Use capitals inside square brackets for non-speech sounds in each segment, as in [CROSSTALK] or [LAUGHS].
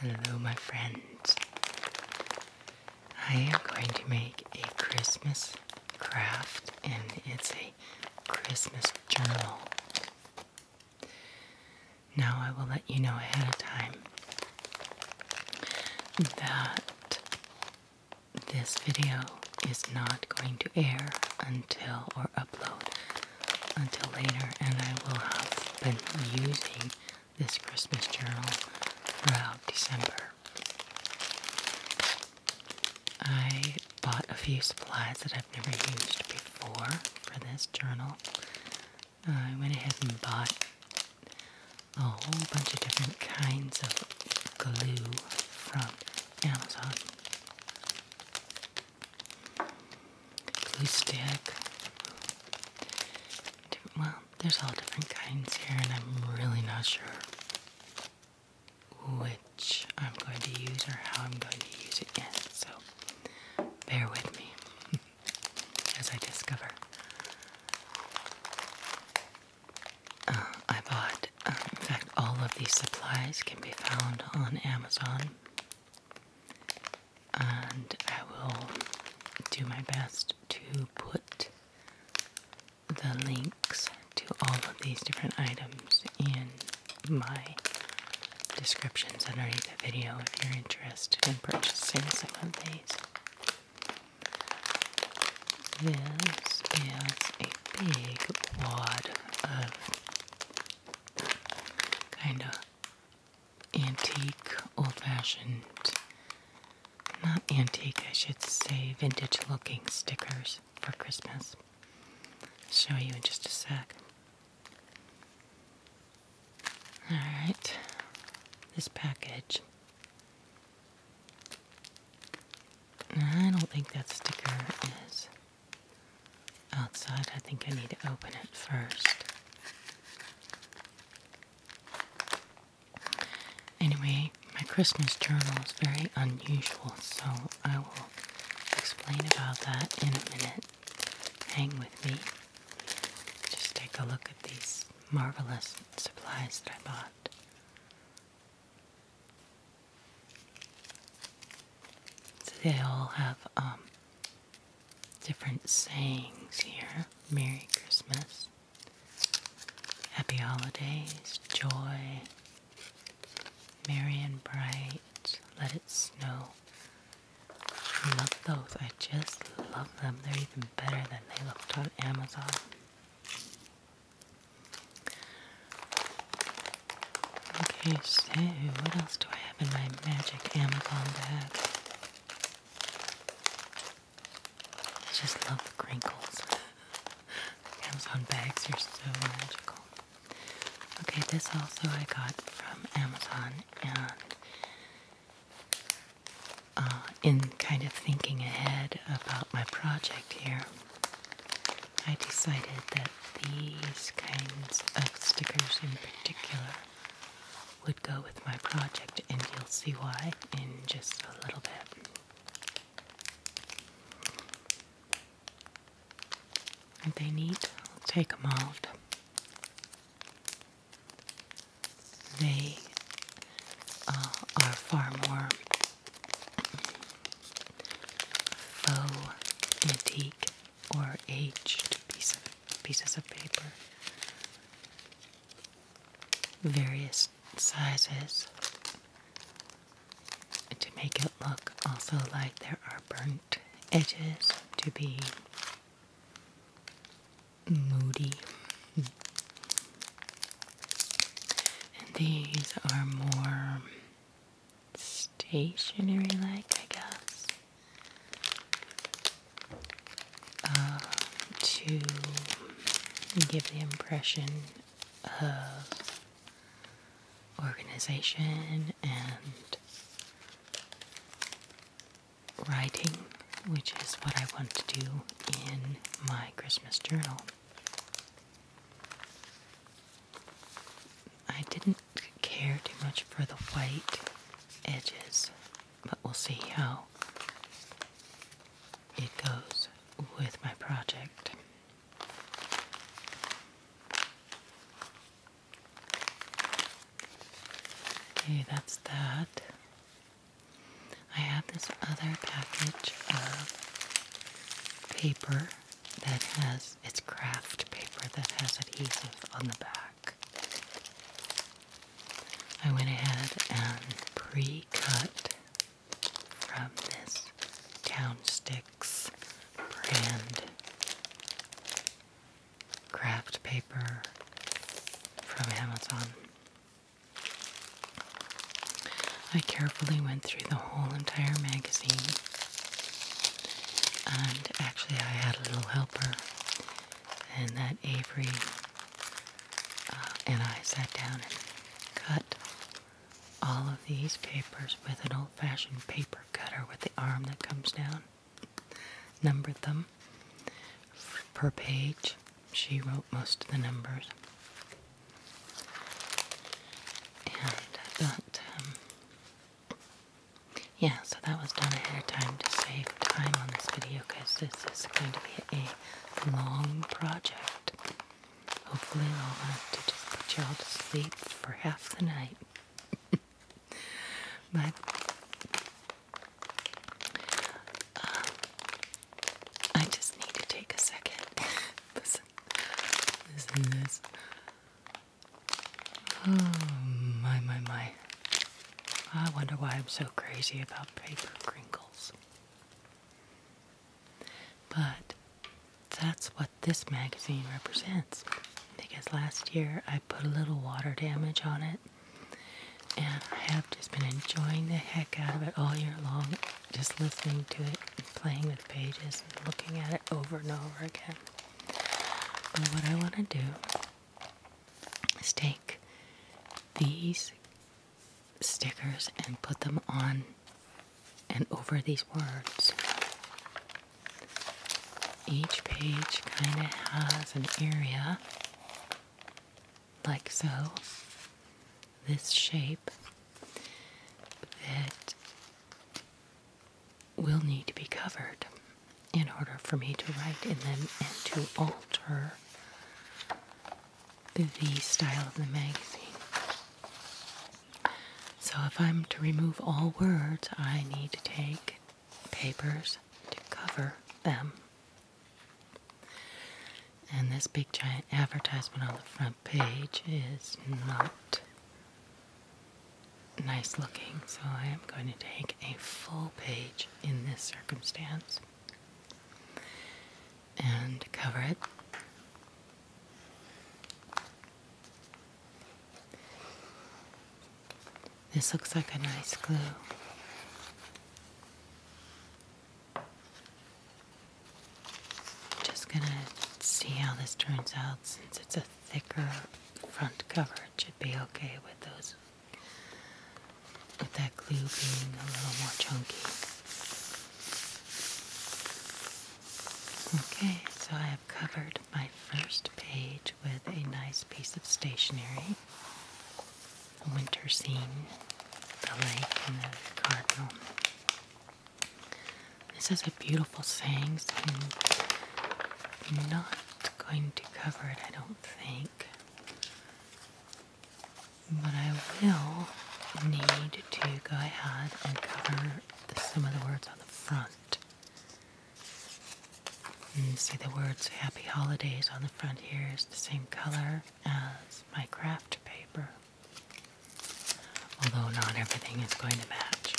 Hello, my friends. I am going to make a Christmas craft, and it's a Christmas journal. Now, I will let you know ahead of time that this video is not going to air until or upload until later, and I will have been using this Christmas journal throughout December. I bought a few supplies that I've never used before for this journal. I went ahead and bought a whole bunch of different kinds of glue from Amazon. Glue stick. Well, there's all different kinds here, and I'm really not sure which I'm going to use or how I'm going to use it in. So bear with me [LAUGHS] as I discover. Uh, I bought, um, in fact, all of these supplies can be found on Amazon. And I will do my best to put the links to all of these different items in my descriptions underneath the video if you're interested in purchasing some of these. This is a big wad of kind of antique, old fashioned, not antique, I should say, vintage looking stickers for Christmas. I'll show you in just a sec. Alright, this package I don't think that sticker is outside. I think I need to open it first. Anyway, my Christmas journal is very unusual, so I will explain about that in a minute. Hang with me. Just take a look at these marvelous supplies that I bought they all have um, different sayings here. Merry Christmas. Happy holidays, joy, merry and bright, let it snow. I love those. I just love them. They're even better than they looked on Amazon. Okay, so what else do I have in my magic Amazon bag? I just love the crinkles. [LAUGHS] Amazon bags are so magical. Okay, this also I got from Amazon and uh, in kind of thinking ahead about my project here, I decided that these kinds of stickers in particular would go with my project, and you'll see why in just a little bit. Aren't they neat? i take them out they uh, are far more faux antique or aged pieces of paper. Various sizes to make it look also like there are burnt edges to be moody and these are more stationary like, I guess. Uh, to give the impression of organization and writing, which is what I want to do in my Christmas journal. I didn't care too much for the white edges, but we'll see how it goes with my project. Okay, that's that. I have this other package of paper that has it's craft paper that has adhesive on the back. I went ahead and pre-cut from this Town Sticks brand craft paper from Amazon. I carefully went through the whole entire magazine, and actually, I had a little helper, and that Avery uh, and I sat down and cut all of these papers with an old fashioned paper cutter with the arm that comes down, numbered them per page she wrote most of the numbers. And I um, yeah, so that was done ahead of time to save time on this video because this is going to be a long project. Hopefully, I'll have to just put y'all to sleep for half the night. [LAUGHS] but um, I just need to take a second. [LAUGHS] listen, this. Oh my my my! I wonder why I'm so crazy about paper crinkles. But that's what this magazine represents. Because last year I put a little water damage on it, and I have just been enjoying the heck out of it all year long just listening to it and playing with pages and looking at it over and over again. But what I want to do is take these stickers and put them on and over these words. Each page kind of has an area like so, this shape that will need to be covered in order for me to write in them and to alter the style of the magazine. So, if I'm to remove all words, I need to take papers to cover them. And this big giant advertisement on the front page is not nice looking, so I am going to take a full page in this circumstance and cover it. This looks like a nice glue. Just gonna see how this turns out since it's a thicker front cover. It should be okay with those with that glue being a little more chunky. Okay, so I have covered my first page with a nice piece of stationery. A winter scene, the lake and the cardinal. This is a beautiful saying, so I'm not going to cover it, I don't think. But I will need to go ahead and cover some of the words on the front. And see the words Happy Holidays on the front here is the same color as my craft paper. Although not everything is going to match.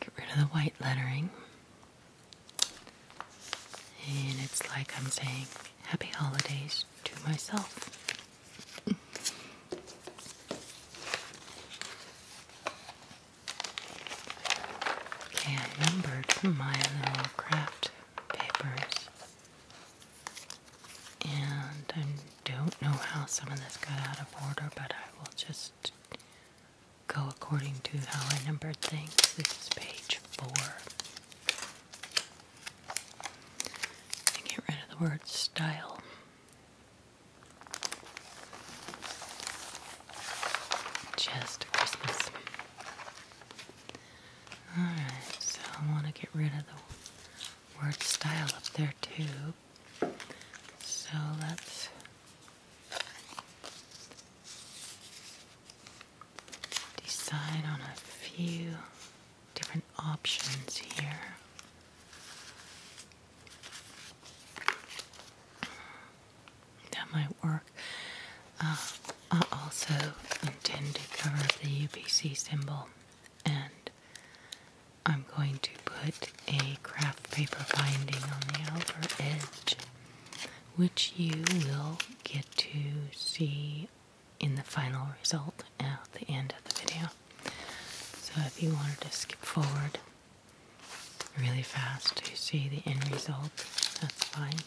Get rid of the white lettering. And it's like I'm saying happy holidays to myself. Okay, I numbered my little craft papers. And I don't know how some of this got out of order, but I will just go according to how I numbered things. This is page four. get rid of the word style. Just Christmas. Alright, so I want to get rid of the word style up there too. So let's. Decide on a few different options here. That might work. Um, I also intend to cover the UPC symbol and I'm going to put a craft paper binding on the outer edge which you will get to see in the final result at the end of the video. So if you wanted to skip forward really fast to see the end result, that's fine.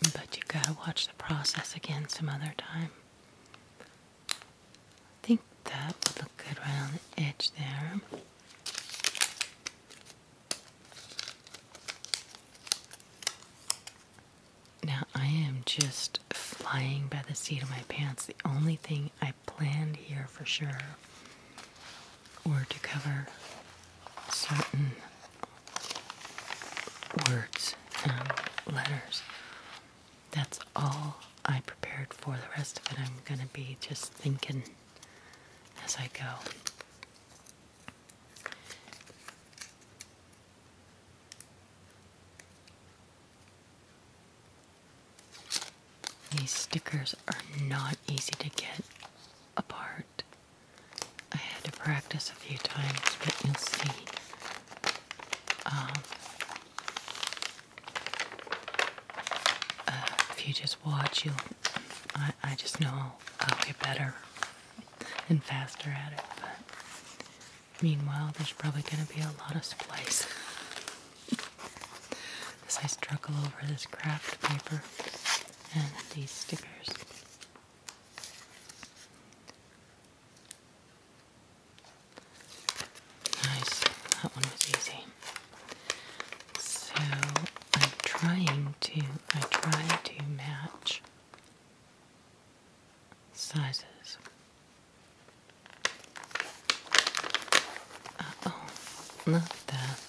But you gotta watch the process again some other time. I think that would look good right on the edge there. Now I am just flying by the seat of my pants. The only thing I planned here for sure were to cover certain words and letters. That's all I prepared for. The rest of it I'm going to be just thinking as I go. These stickers are not easy to get apart. I had to practice a few times, but you'll see. Um, uh, if you just watch, you'll. I, just know I'll, get better and faster at it. But meanwhile, there's probably going to be a lot of splice. [LAUGHS] as I struggle over this craft paper and these stickers. Nice, that one was easy. So I'm trying to, I try to match sizes. Uh oh, not that.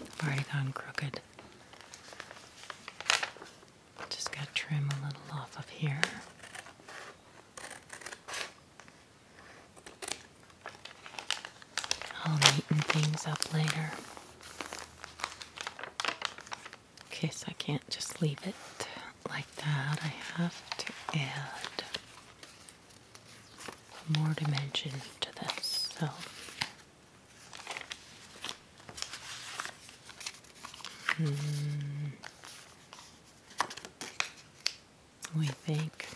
I've already gone crooked. Just got to trim a little off of here. I'll neaten things up later. In case I can't just leave it like that, I have to add more dimension to this. Hmm. We think.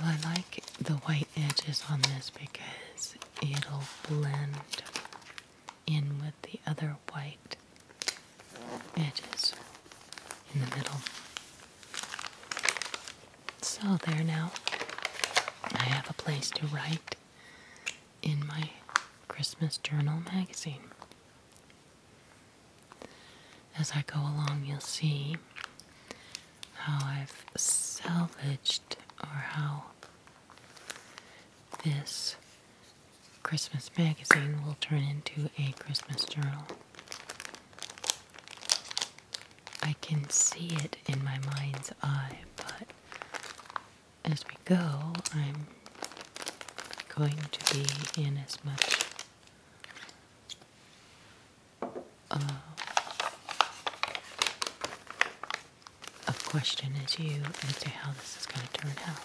Well, I like the white edges on this because it'll blend in with the other white edges in the middle. So there now, I have a place to write in my Christmas Journal magazine. As I go along, you'll see how I've salvaged or how this Christmas magazine will turn into a Christmas journal. I can see it in my mind's eye, but as we go, I'm going to be in as much uh, of question as you as to how this is going to turn out.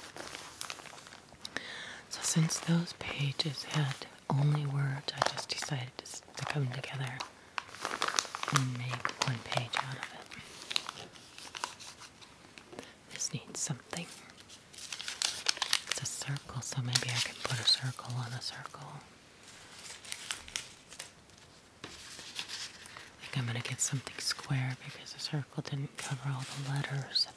So since those pages had only words. I just decided to, to come together and make one page out of it. This needs something. It's a circle, so maybe I can put a circle on a circle. I think I'm going to get something square because the circle didn't cover all the letters.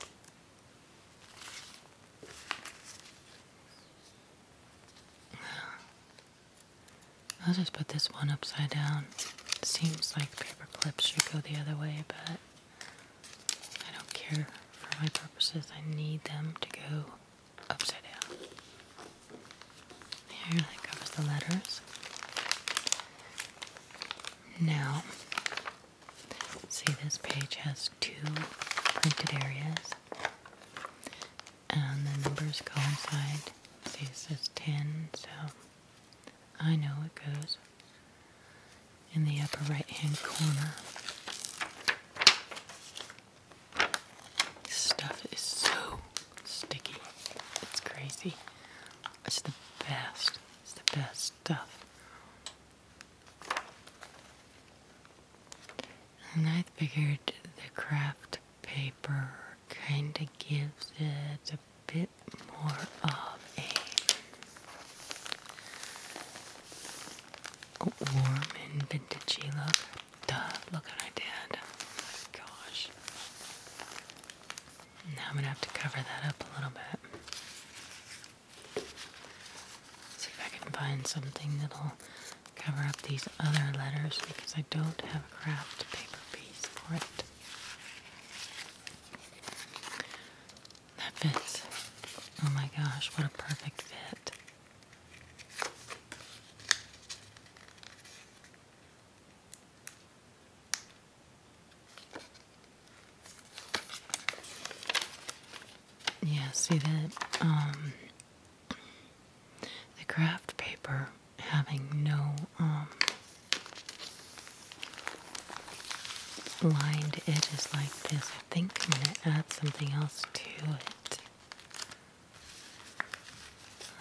I'll just put this one upside down. Seems like paper clips should go the other way, but I don't care. For my purposes, I need them to go upside down. There, that covers the letters. Now, See, this page has two printed areas, and the numbers coincide. See, it says 10, so I know it goes in the upper right hand corner. This stuff is so sticky. It's crazy. It's the best. It's the best stuff. And I figured the craft paper kind of gives it a bit more of a warm and vintagey look. Duh, look what I did. Oh my gosh. Now I'm going to have to cover that up a little bit. See if I can find something that'll cover up these other letters because I don't have a craft paper piece for it. That fits. Oh my gosh, what a perfect fit. Yeah, see that um, the craft paper having no um, lined edges like this. I think I'm gonna add something else to it.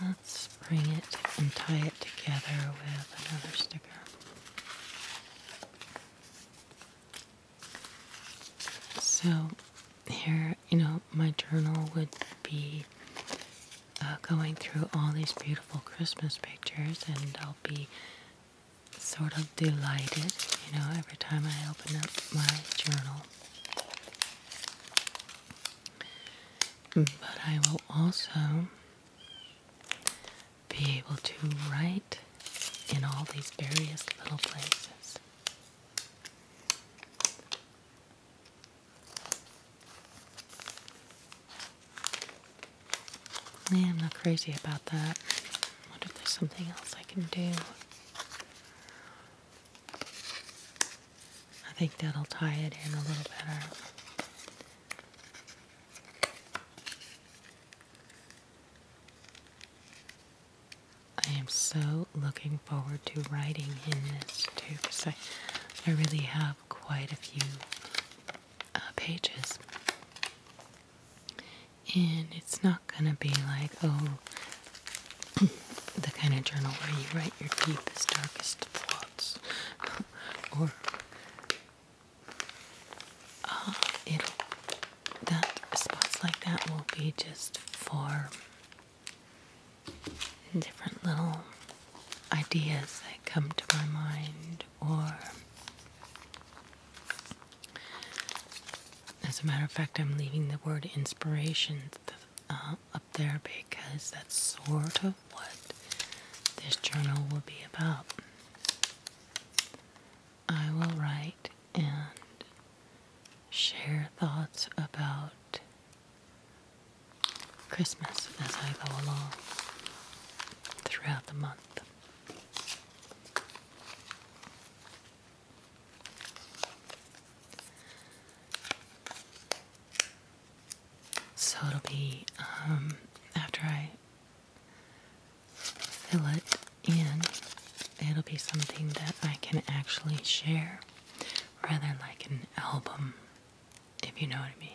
Let's bring it and tie it together with another sticker. So, here, you know, my journal would be uh, going through all these beautiful Christmas pictures, and I'll be sort of delighted, you know, every time I open up my journal. But I will also be able to write in all these various little places. I'm not crazy about that. I if there's something else I can do. I think that'll tie it in a little better. I am so looking forward to writing in this too because I, I really have quite a few uh, pages. And it's not going to be like, oh, [CLEARS THROAT] the kind of journal where you write your deepest, darkest thoughts [LAUGHS] or that spots like that will be just for different little ideas that come to my mind or as a matter of fact i'm leaving the word inspiration uh, up there because that's sort of what this journal will be about I will write and share thoughts about Christmas as I go along throughout the month. So it'll be um, after I fill it in, it'll be something that I can actually share rather like an album, if you know what I mean.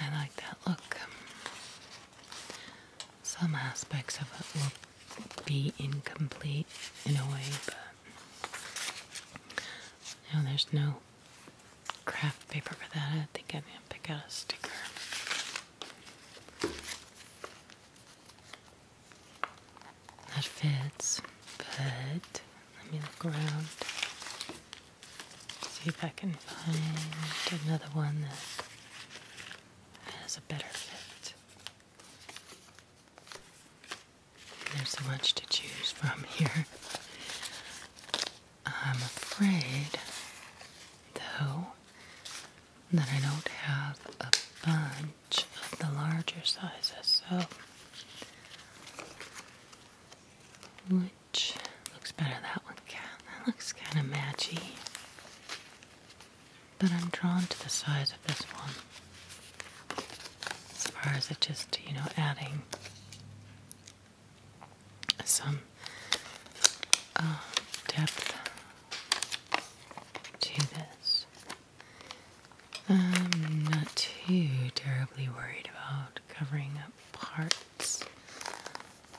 I like that look. Some aspects of it will be incomplete in a way, but now there's no craft paper for that. I think I'm gonna pick out a sticker. That fits, but let me look around. See if I can find another one that has a better fit. There's so much to choose from [LAUGHS] here. I'm afraid, though, that I don't have a bunch of the larger sizes, so which looks better? That one can. That looks kind of matchy. But I'm drawn to the size of this one as far as it just, you know, adding some uh, depth to this. I'm not too terribly worried about covering up parts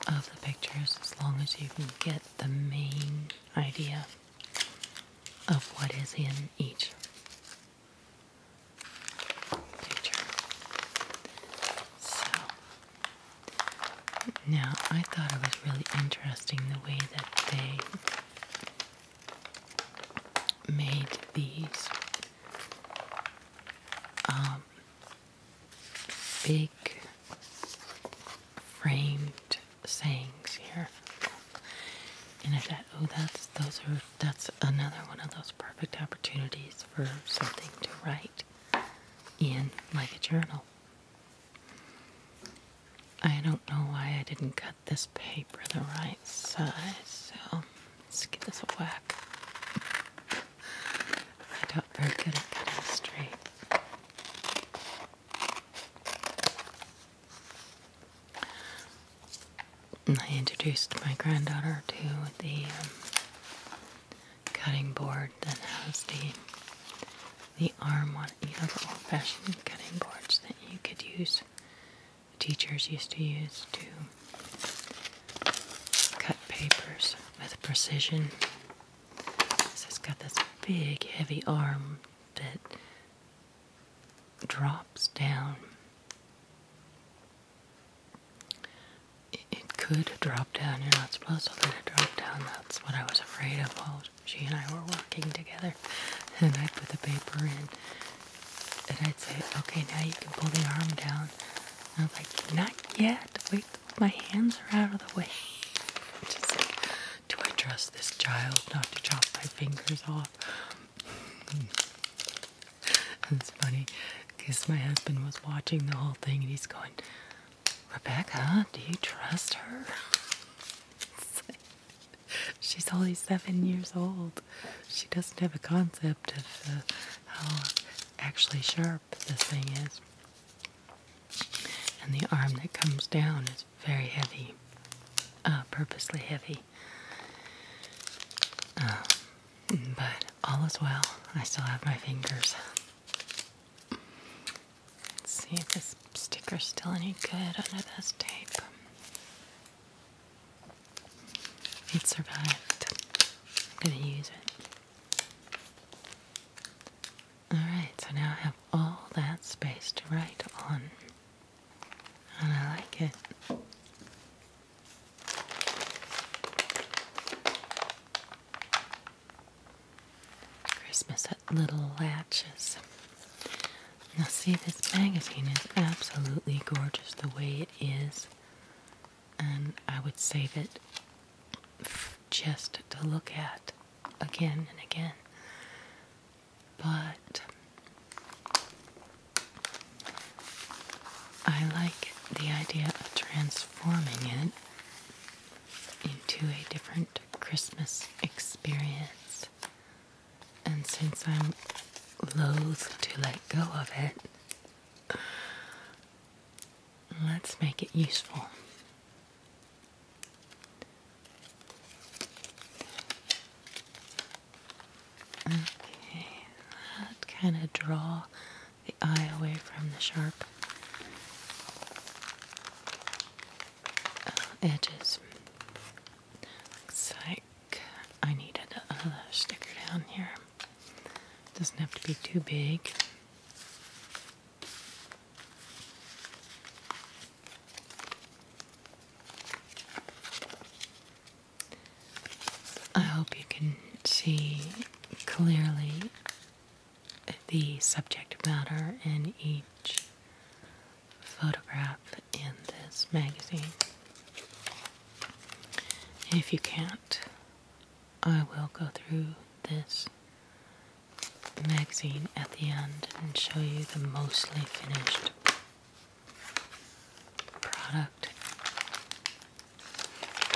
of the pictures as long as you can get the main idea of what is in each picture. So now I thought it was really interesting the way that they made these um, big framed sayings here. And I thought, oh, that's those are that's another one of those perfect opportunities for something to write in like a journal. I don't know why I didn't cut this paper the right size, so let's give this a whack. I'm not very good at cutting straight. I introduced my granddaughter to the um, cutting board that has the the arm on it. You the old-fashioned cutting boards that you could use. Teachers used to use to cut papers with precision. This has got this big, heavy arm that drops down. It, could drop down. You're not supposed to let it drop down. That's what I was afraid of while she and I were working together. And i put the paper in. And I'd say, okay, now you can pull the arm down. I was like, not yet. Wait, my hands are out of the way. [LAUGHS] Just like, do I trust this child not to chop my fingers off? That's funny because my husband was watching the whole thing and he's going, Rebecca, do you trust her? [LAUGHS] she's only seven years old. She doesn't have a concept of uh, how actually sharp this thing is. And the arm that comes down is very heavy, uh, purposely heavy. Um, but all is well. I still have my fingers. Let's see if this sticker's still any good under this tape. It survived. I'm gonna use it. Alright, so now I have all that space to write on and I like it. Christmas at Little Latches. Now, see, this magazine is absolutely gorgeous the way it is, and I would save it just to look at again and again but I like the idea of transforming it into a different Christmas experience. And since I'm loath to let go of it, let's make it useful. Okay, that kind of draw the eye away from the sharp uh, edges. Looks like I needed another sticker down here. Doesn't have to be too big. I hope you can see clearly the subject matter in each photograph in this magazine. If you can't, I will go through this magazine at the end and show you the mostly finished product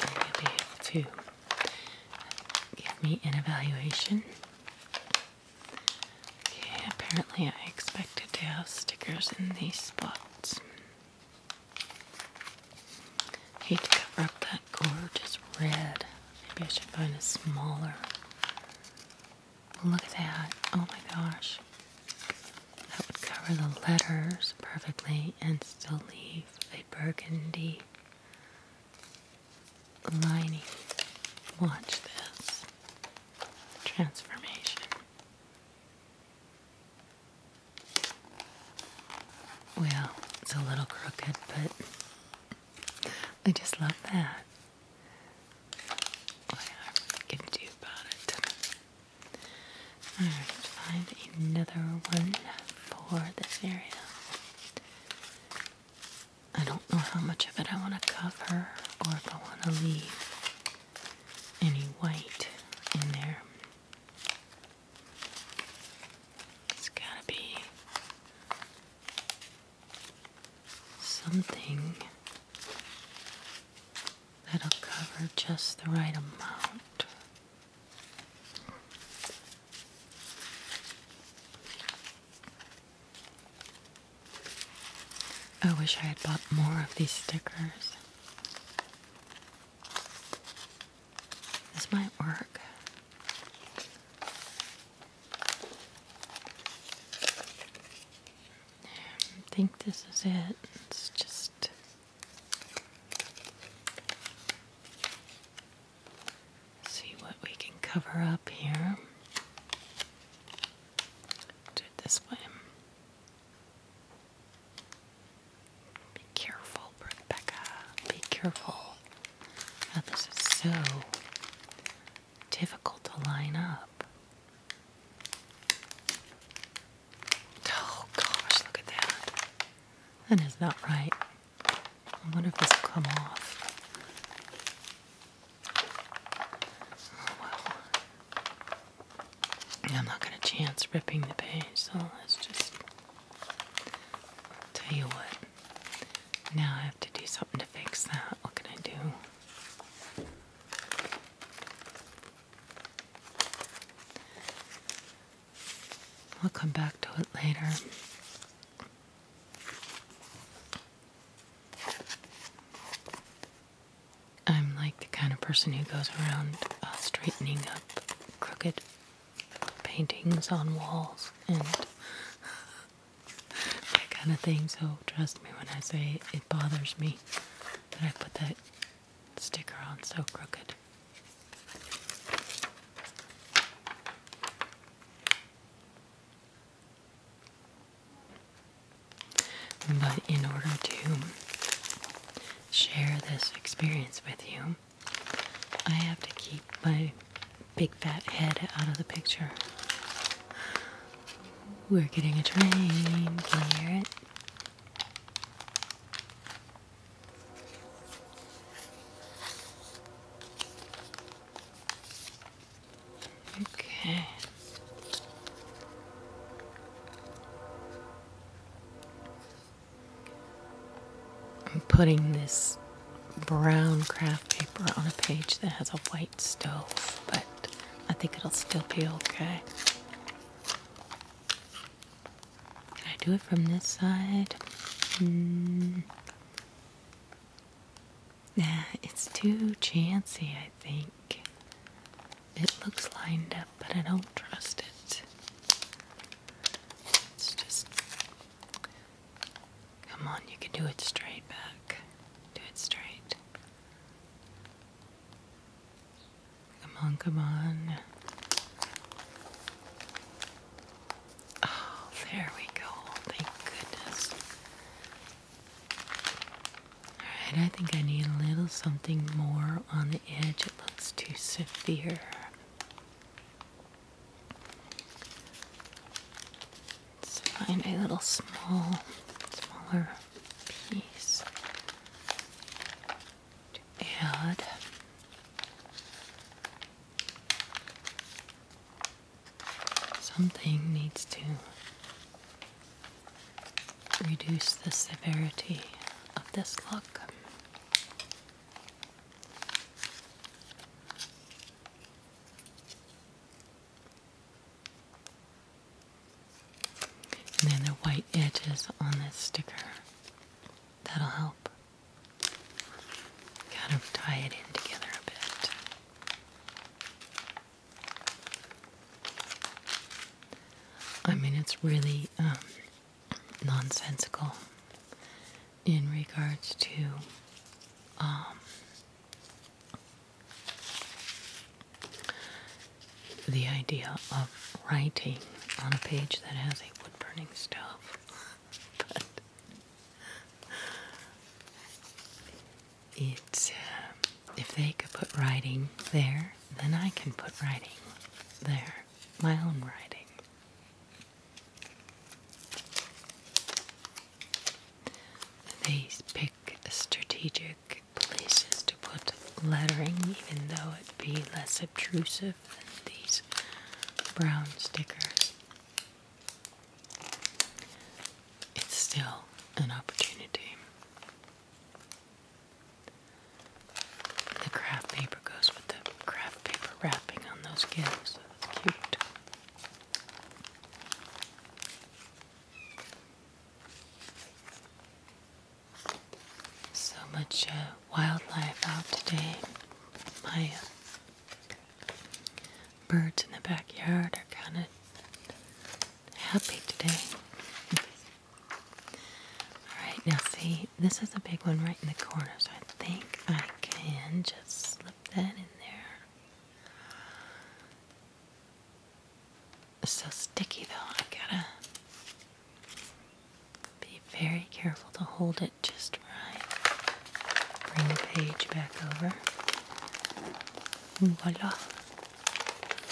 and you'll be able to give me an evaluation. Okay, apparently I expected to have stickers in these spots. Hate to cover up that gorgeous red. Maybe I should find a smaller Look at that. Oh my gosh. That would cover the letters perfectly and still leave a burgundy lining. Watch this transformation. Well, it's a little crooked, but I just love that. Whatever I can do about it. Alright, find another one for this area. I don't know how much of it I want to cover or if I want to leave any white in there. It's gotta be something That'll cover just the right amount. I wish I had bought more of these stickers. This might work. I think this is it. It's just see what we can cover up here. Do it this way. Be careful, Rebecca. Be careful. Oh, this is so difficult to line up. Oh gosh, look at that. That is not right. I wonder if this will come off. Oh, well. I'm not going to chance ripping the page, so let's just tell you what. Now I have to do something to fix that. What can I do? We'll come back to it later. I'm like the kind of person who goes around uh, straightening up crooked paintings on walls and [LAUGHS] that kind of thing, so trust me when I say it bothers me that I put that sticker on so crooked. But in order to share this experience with you, I have to keep my big fat head out of the picture. We're getting a train. Can you hear it? Okay. I'm putting this brown craft paper on a page that has a white stove, but I think it'll still be okay. Can I do it from this side? Hmm. Nah, it's too chancy, I think. It looks lined up, but I don't trust it. It's just. Come on, you can do it straight back. Do it straight. Come on, come on. Oh, there we go. Thank goodness. Alright, I think I need a little something more on the edge. It looks too severe. Let's find a little small, smaller piece to add. Something needs to reduce the severity of this look. And then the white edges on this sticker. That'll help kind of tie it in together a bit. I mean, it's really um, nonsensical in regards to um, the idea of writing on a page that has a wood burning stove. [LAUGHS] but it's uh, if they could put writing there, then I can put writing there, my own writing. They pick strategic pick places to put lettering, even though it be less obtrusive than these brown stickers. It's still an opportunity. The craft paper goes with the craft paper wrapping on those gifts. that's cute. So much uh, wildlife out today. My uh, birds in the backyard are kind of happy today. [LAUGHS] Alright, now see, this is a big one right in the corner, so I think I can just slip that in there. It's so sticky though, I gotta be very careful to hold it just right. Bring the page back over. Voila.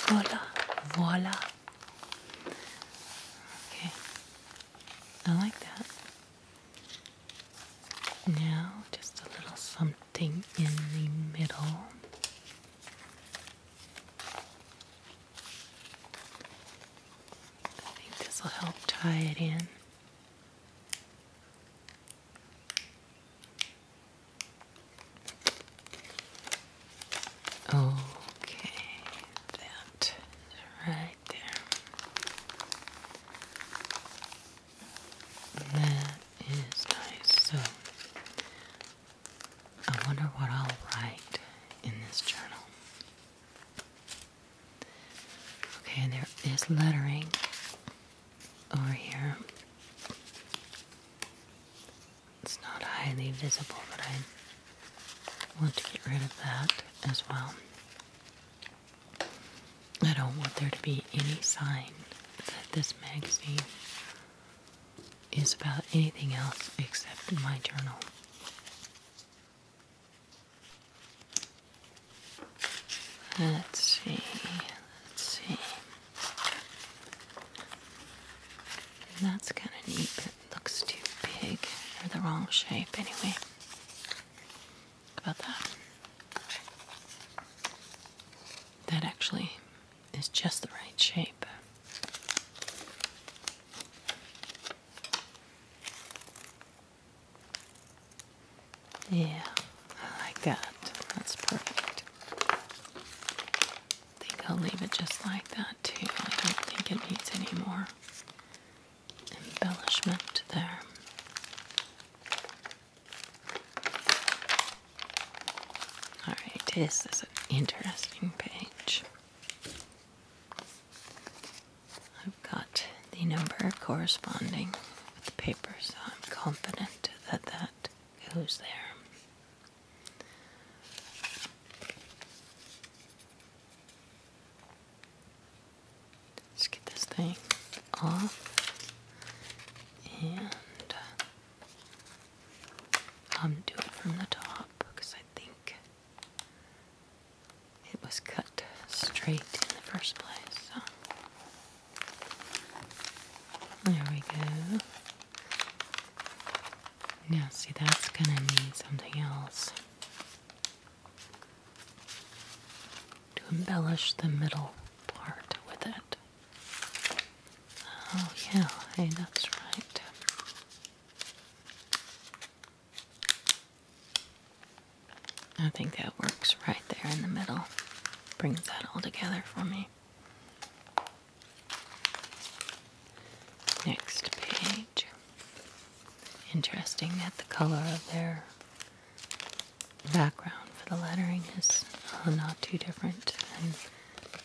Voila. Voila. Okay. I like that. Now, just a little something in the middle. I think this will help tie it in. Okay, that right there. That is nice. So I wonder what I'll write in this journal. Okay, and there is lettering over here. It's not highly visible, but I want to get rid of that as well. I don't want there to be any sign that this magazine is about anything else except my journal. Let's see, let's see. that's kind of neat, but it looks too big or the wrong shape anyway. about that. That actually is just the right shape. Yeah, I like that. That's perfect. I think I'll leave it just like that too. I don't think it needs any more embellishment there. Alright, this is an interesting page. I've got the number corresponding with the paper, so I'm confident that that goes there. Let's get this thing off and um, uh, do it from the top because I think it was cut straight in the first place. There we go. Now, see, that's going to need something else to embellish the middle part with it. Oh, yeah, hey, that's right. I think that works right there in the middle. Brings that all together for me. Next page. Interesting that the color of their background for the lettering is uh, not too different than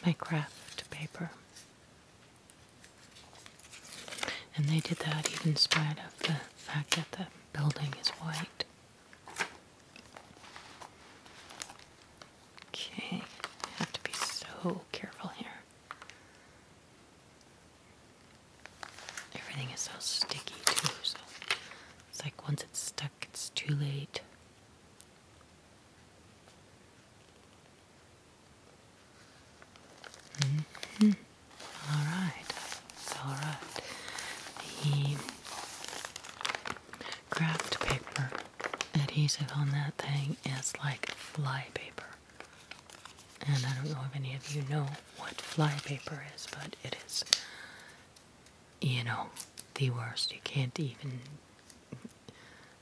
my craft paper. And they did that even spite of the fact that the building is white. Okay, have to be so careful here. Everything is so sticky too, so it's like once it's stuck, it's too late. -hmm. All right, all right. The craft paper adhesive on that thing is like fly paper. And I don't know if any of you know what fly paper is, but it is, you know, the worst. You can't even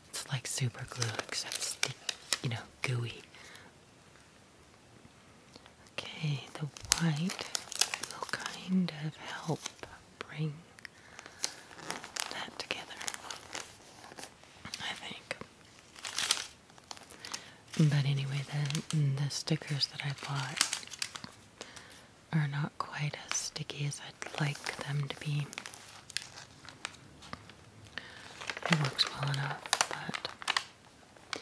it's like super glue, except sticky, you know, gooey. Okay, the white will kind of help bring that together, I think. But anyway, then the stickers that I bought are not quite as sticky as I'd like them to be. It works well enough, but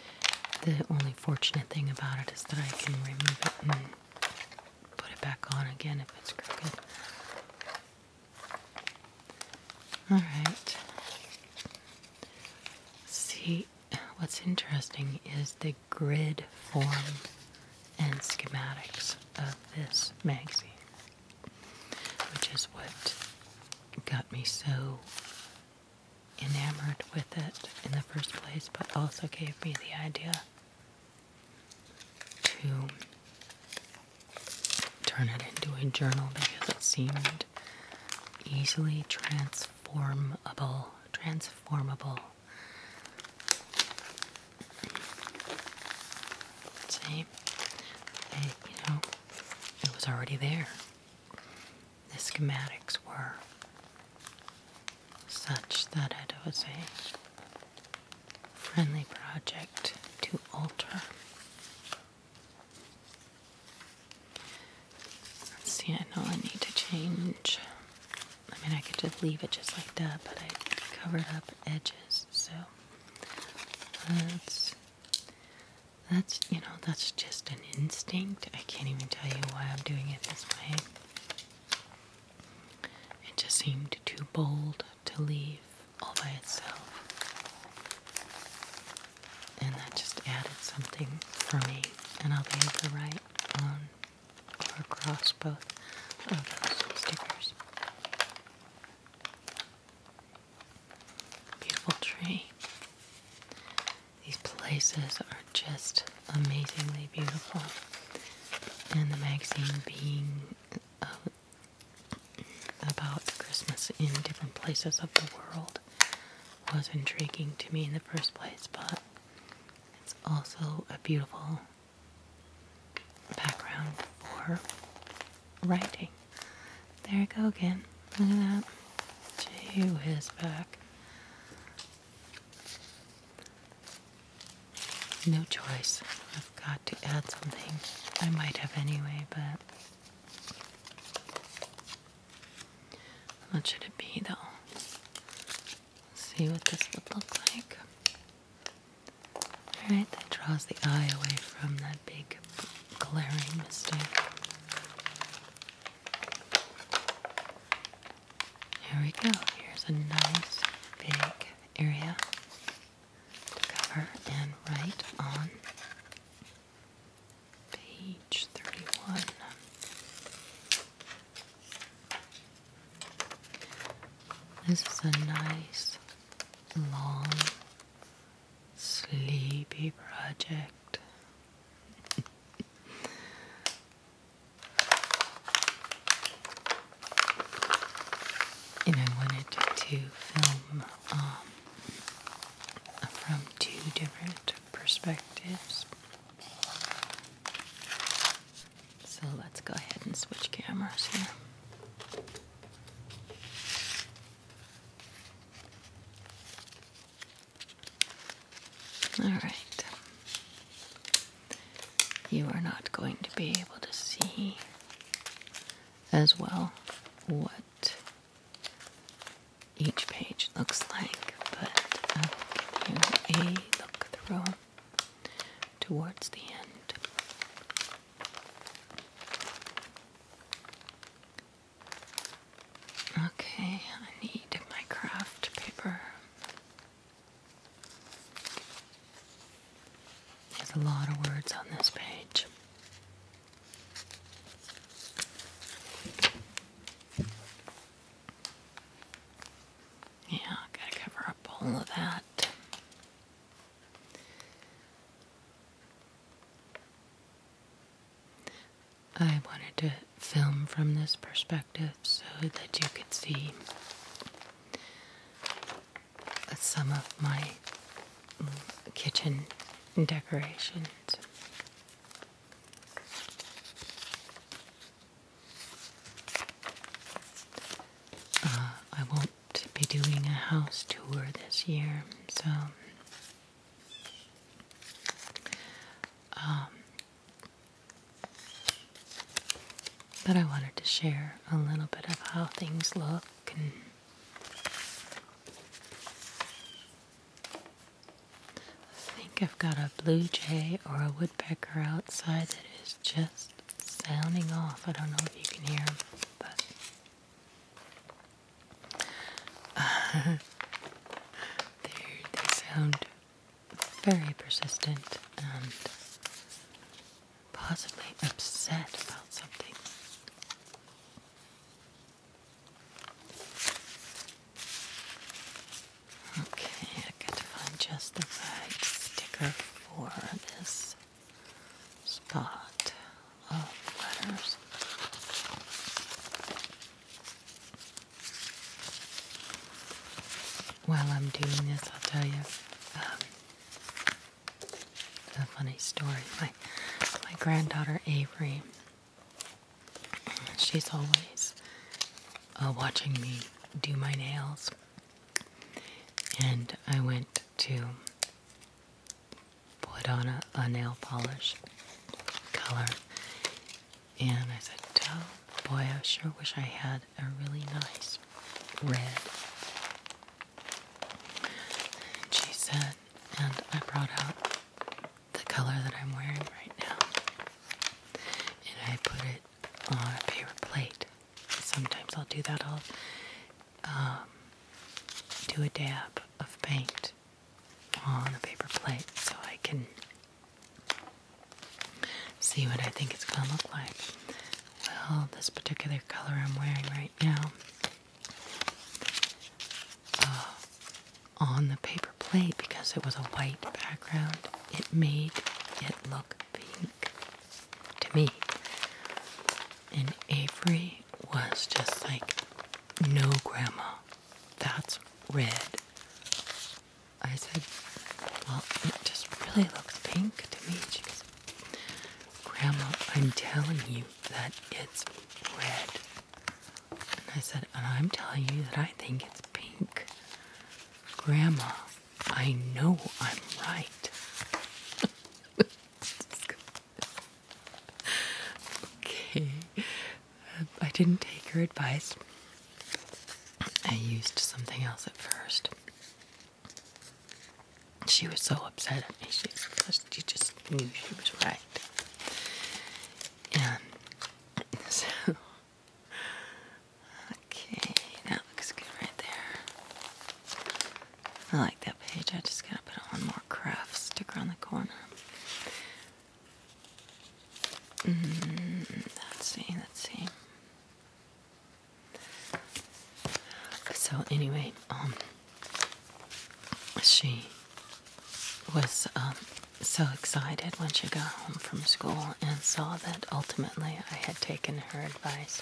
the only fortunate thing about it is that I can remove it and put it back on again if it's crooked. Alright. See, what's interesting is the grid form and schematics of this magazine which is what got me so enamored with it in the first place, but also gave me the idea to turn it into a journal because it seemed easily transformable. Transformable. See, you know, it was already there. The schematics were such that it was a friendly project to alter. see, I know I need to change. I mean, I could just leave it just like that, but I covered up edges, so let's that's, you know, that's just an instinct. I can't even tell you why I'm doing it this way. It just seemed too bold to leave all by itself. And that just added something for me. And I'll be able to write on or across both of those stickers. Beautiful tree. These places are just amazingly beautiful. And the magazine being uh, about Christmas in different places of the world was intriguing to me in the first place, but it's also a beautiful background for writing. There you go again. Look at that. To his back. No choice. I've got to add something. I might have anyway, but. What should it be though? see what this would look like. Alright, that draws the eye away from that big glaring mistake. Here we go. Here's a nice big area to cover and right on page 31. This is a nice long Sleepy Project. and I wanted to film um, from two different perspectives. So let's go ahead and switch cameras here. All right. You are not going to be able to see as well what each page looks like, but I'll um, give you a look through towards the end. Okay, I need my craft paper. There's a lot of words on this page. Yeah, gotta cover up all of that. I wanted to film from this perspective so that you could see some of my kitchen decorations. Uh, I won't to be doing a house tour this year, so um, but I wanted to share a little bit of how things look I think I've got a blue jay or a woodpecker outside that is just sounding off. I don't know if you can hear them, but [LAUGHS] they sound very persistent and possibly upset about something. Okay, I got to find just the right sticker for this spot letters. While I'm doing this, I'll tell you um, a funny story. My granddaughter Avery, she's always uh, watching me do my nails, and I went to put on a, nail polish color, and I said, oh boy, I sure wish I had a really nice red. she said, and I brought out the color that I'm wearing right now, and I put it on a paper plate. Sometimes I'll do that. I'll um, do a dab of paint on a paper plate so I can see what I think it's gonna look like. Well, this particular color I'm wearing right now uh, on the paper plate, because it was a white background, it made it look pink to me. And Avery was just like no, Grandma, that's red. I said, Well, it just really looks pink to me. Grandma, I'm telling you that it's red. And I said, And I'm telling you that I think it's pink. Grandma, I know I'm right. [LAUGHS] okay. Um, I didn't take your advice. I used something else at first. She was so upset at me. She, just knew she was right. And [LAUGHS] so, okay, that looks good right there. I like that page. I just gotta put on more craft sticker on the corner. Mm, let's see, let's see. So anyway, um, she was um, so excited when she got home from school and saw that ultimately I had taken her advice.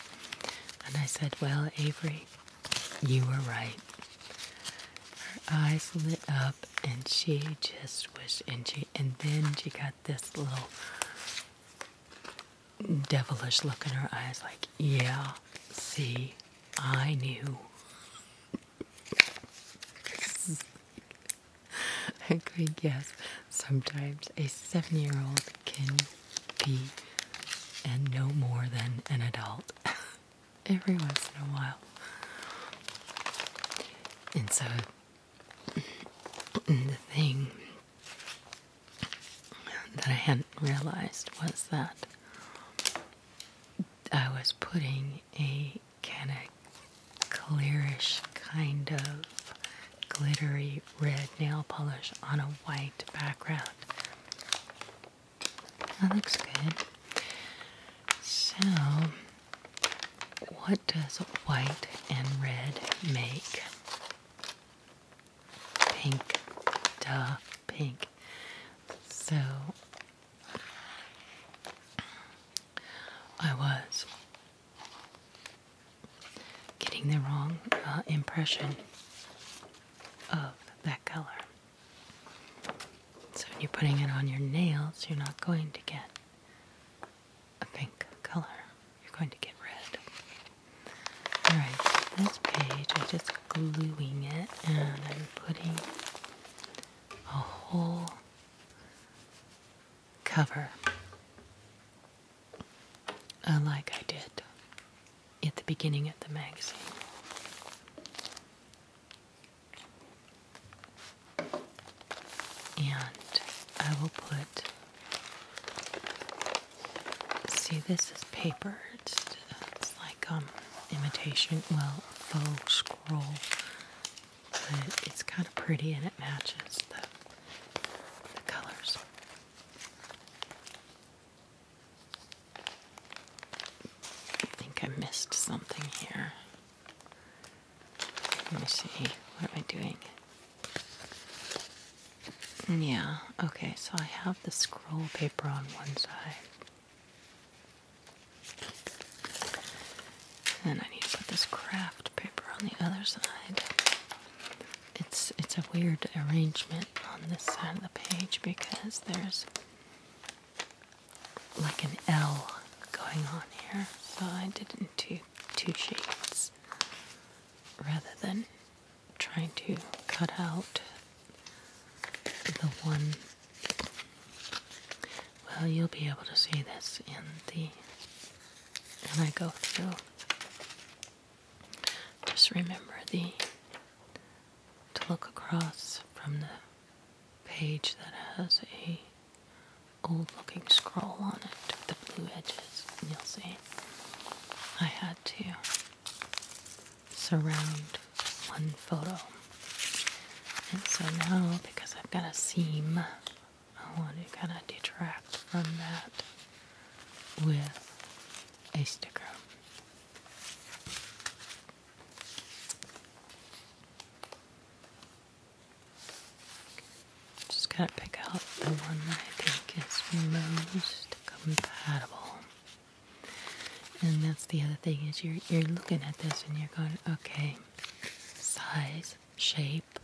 And I said, Well, Avery, you were right. Her eyes lit up, and she just wished, and she, and then she got this little devilish look in her eyes, like, yeah, see, I knew. [LAUGHS] I could guess. Sometimes a seven-year-old can be, and no more than an adult. [LAUGHS] every once in a while. And so [CLEARS THROAT] the thing that I hadn't realized was that I was putting a kind of clearish kind of glittery red nail polish on a white background. That looks good. So, what does white and red make? Pink. Duh, pink. So, I was getting the wrong uh, impression of that color. So when you're putting it on your nails, you're not going to get a pink color. You're going to get red. Alright, so this page, I'm just gluing it and I'm putting a whole cover uh, like I did at the beginning of the magazine. And I will put, see, this is paper. It's, like um, imitation, well, faux scroll. But it's kind of pretty and it matches the, the colors. I think I missed something here. Let me see. What am I doing? Mm, yeah, okay, so I have the scroll paper on one side. And I need to put this craft paper on the other side. It's it's a weird arrangement on this side of the page because there's like an L going on here, so I did it in two, two shades rather than trying to cut out the one. Well, you'll be able to see this in the when I go through. Just remember the to look across from the page that has a old looking scroll on it with the blue edges and you'll see I had to surround one photo and so now because I've got a seam I want to kind of detract from that with a sticker just gotta pick out the one that I think is most compatible. And that's the other thing is you're you're looking at this and you're going, okay, size, shape,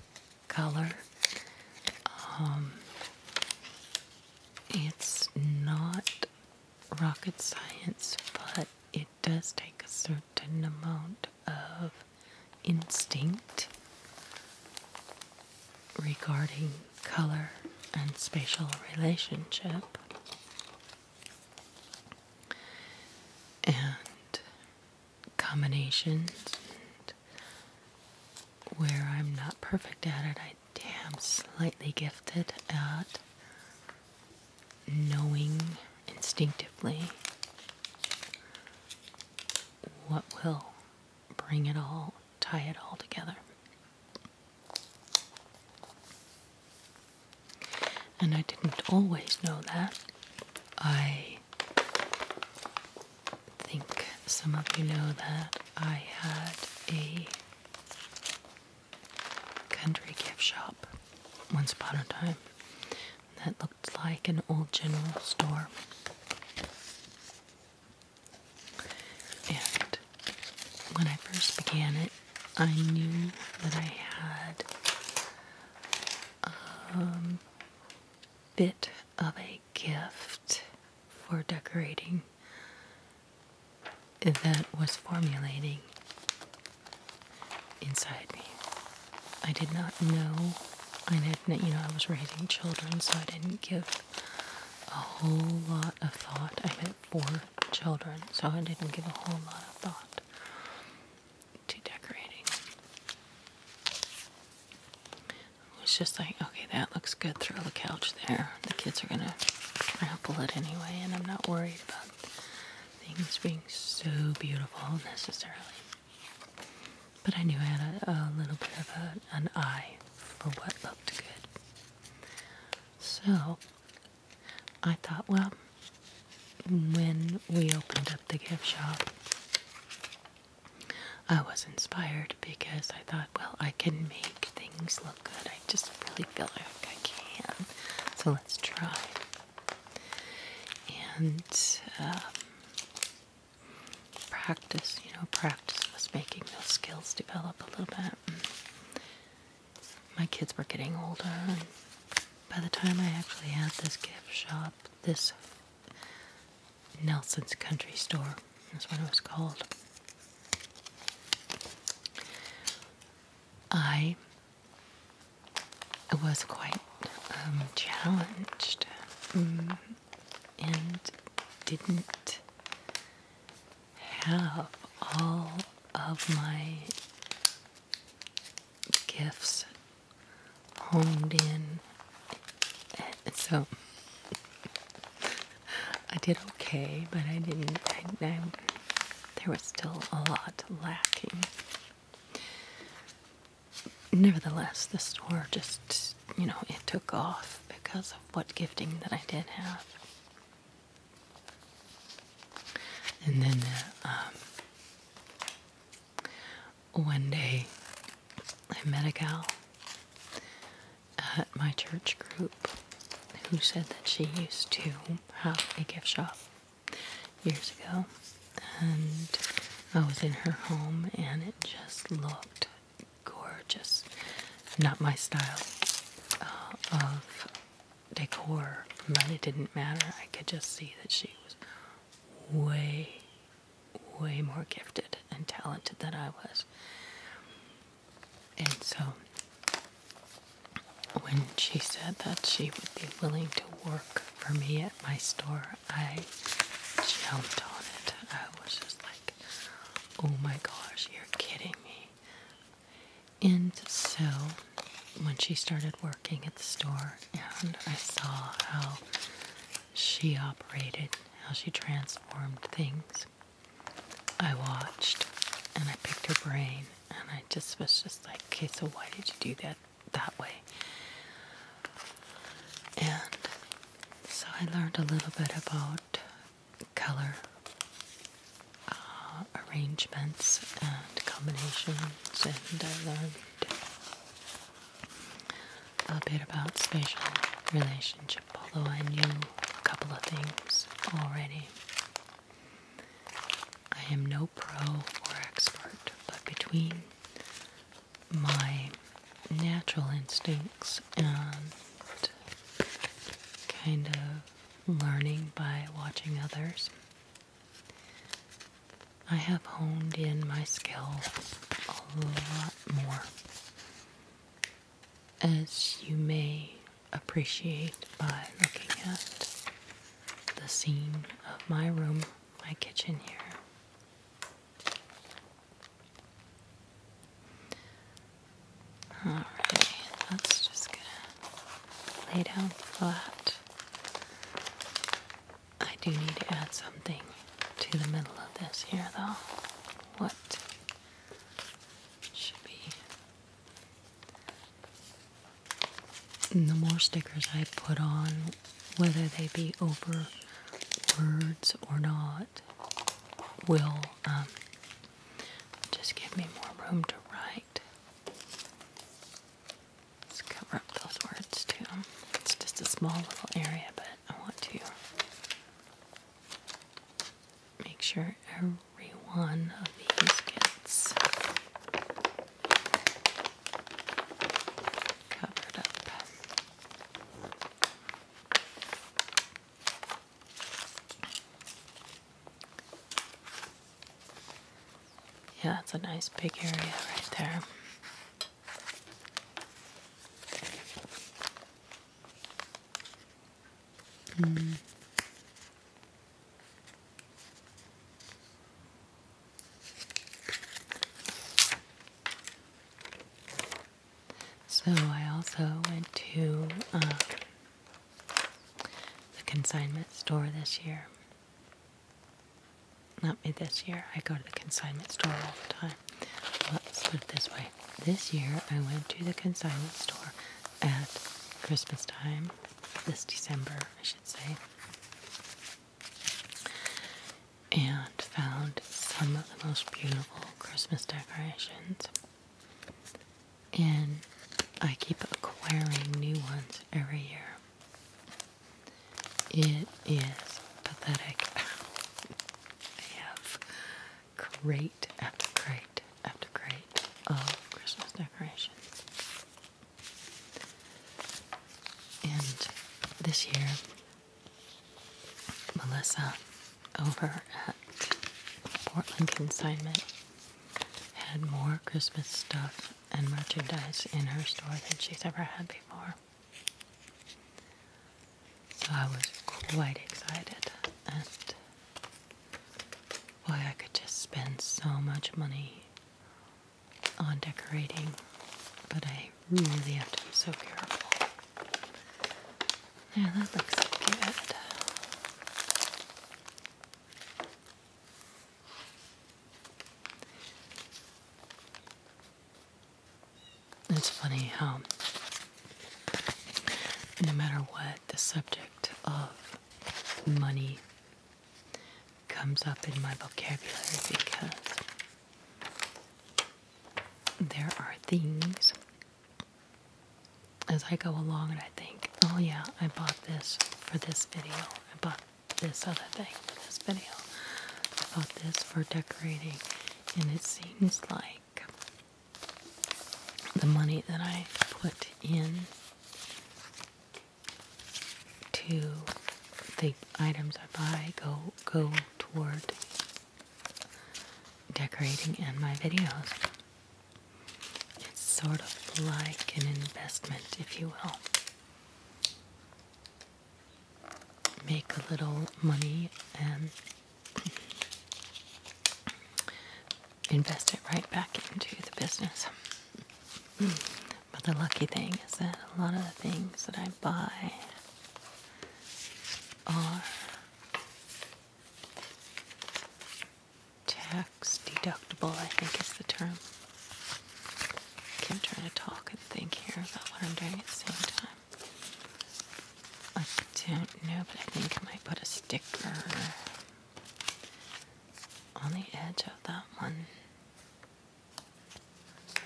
color. Um, it's not rocket science, but it does take a certain amount of instinct regarding color and spatial relationship. And combinations, where I'm not perfect at it, I damn slightly gifted at knowing instinctively what will bring it all, tie it all together. And I didn't always know that. I think some of you know that I had a country gift shop once upon a time that looked like an old general store. And when I first began it, I knew that I had a um, bit of a gift for decorating that was formulating inside me. I did not know. I had, you know, I was raising children, so I didn't give a whole lot of thought. I had four children, so I didn't give a whole lot of thought to decorating. It was just like, okay, that looks good. Throw the couch there. The kids are gonna trample it anyway, and I'm not worried about things being so beautiful necessarily. But I knew I had a, little bit of an eye for what looked good. So I thought, well, when we opened up the gift shop, I was inspired because I thought, well, I can make things look good. I just really feel like I can. So let's try. And um, practice, you know, practice was making those skills develop a little bit. my kids were getting older, and by the time I actually had this gift shop, this Nelson's Country Store, that's what it was called. I I was quite um, challenged mm, and didn't have all of my gifts honed in. so [LAUGHS] I did okay, but I didn't there was still a lot lacking. Nevertheless, the store just, you know, it took off because of what gifting that I did have. And then um, one day I met a gal at my church group who said that she used to have a gift shop years ago, and I was in her home, and it just looked gorgeous. Not my style uh, of decor, but it didn't matter. I could just see that she was way, way more gifted and talented than I was. And so when she said that she would be willing to work for me at my store, I jumped on it. I was just like, oh my gosh, you're kidding me. And so, when she started working at the store, and I saw how she operated, how she transformed things, I watched and I picked her brain and I just was just like, okay, so why did you do that that way? And so I learned a little bit about color uh, arrangements and combinations, and I learned a bit about spatial relationship, although I knew a couple of things already. I am no pro or expert, but between my natural instincts and kind of learning by watching others, I have honed in my skills a lot more. As you may appreciate by looking at the scene of my room, my kitchen here. Alright, that's just lay down flat. I do need to add something to the middle of this here though. What should be and the more stickers I put on, whether they be over words or not, will um, just give me more room to write. Let's cover up those words too. It's just a small little area, but I want to make sure every one of these gets yeah, that's a nice big area right there. Mm. So I also went to um, the consignment store this year. Not me this year. I go to the consignment store all the time. Let's put it this way. This year I went to the consignment store at Christmas time this December say, and found some of the most beautiful Christmas decorations. And I keep acquiring new ones every year. It is pathetic. [LAUGHS] I have crate after crate after crate of Christmas decorations. And this year, Melissa over at Portland Consignment had more Christmas stuff and merchandise in her store than she's ever had before. So I was quite excited, and why I could just spend so much money on decorating, but I really have to be so careful. Yeah, that looks good. It's funny how, no matter what the subject of money comes up in my vocabulary because there are things as I go along and I think, oh yeah, I bought this for this video. I bought this other thing for this video. I bought this for decorating. And it seems like the money that I put in to the items I buy go go toward decorating and my videos. It's sort of like an investment, if you will. Make a little money and invest it right back into the business. But the lucky thing is that a lot of the things that I buy are tax deductible, I think is the term. I am trying to talk and think here about what I'm doing at the same time. I don't know, but I think I might put a sticker on the edge of that one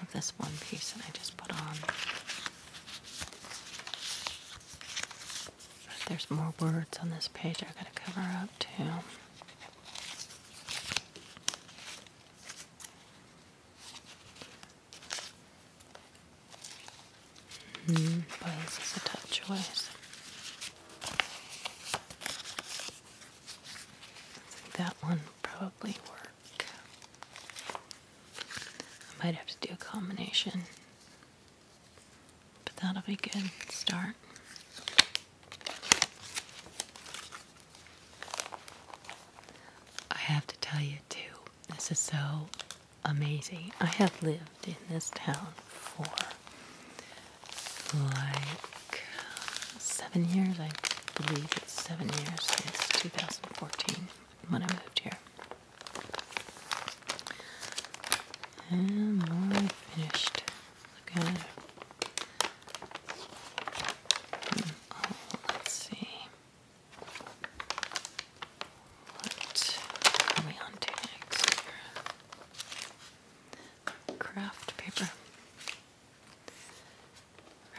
of this one piece that I just put on. there's more words on this page I gotta cover up too. Mm, this is a tough choice that one probably work. I might have to do a combination, but that'll be a good start. I have to tell you too, this is so amazing. I have lived in this town for like seven years. I believe it's seven years since 2014 when I moved here. And more finished. Look hmm, oh, let's see. What are we on next Craft paper.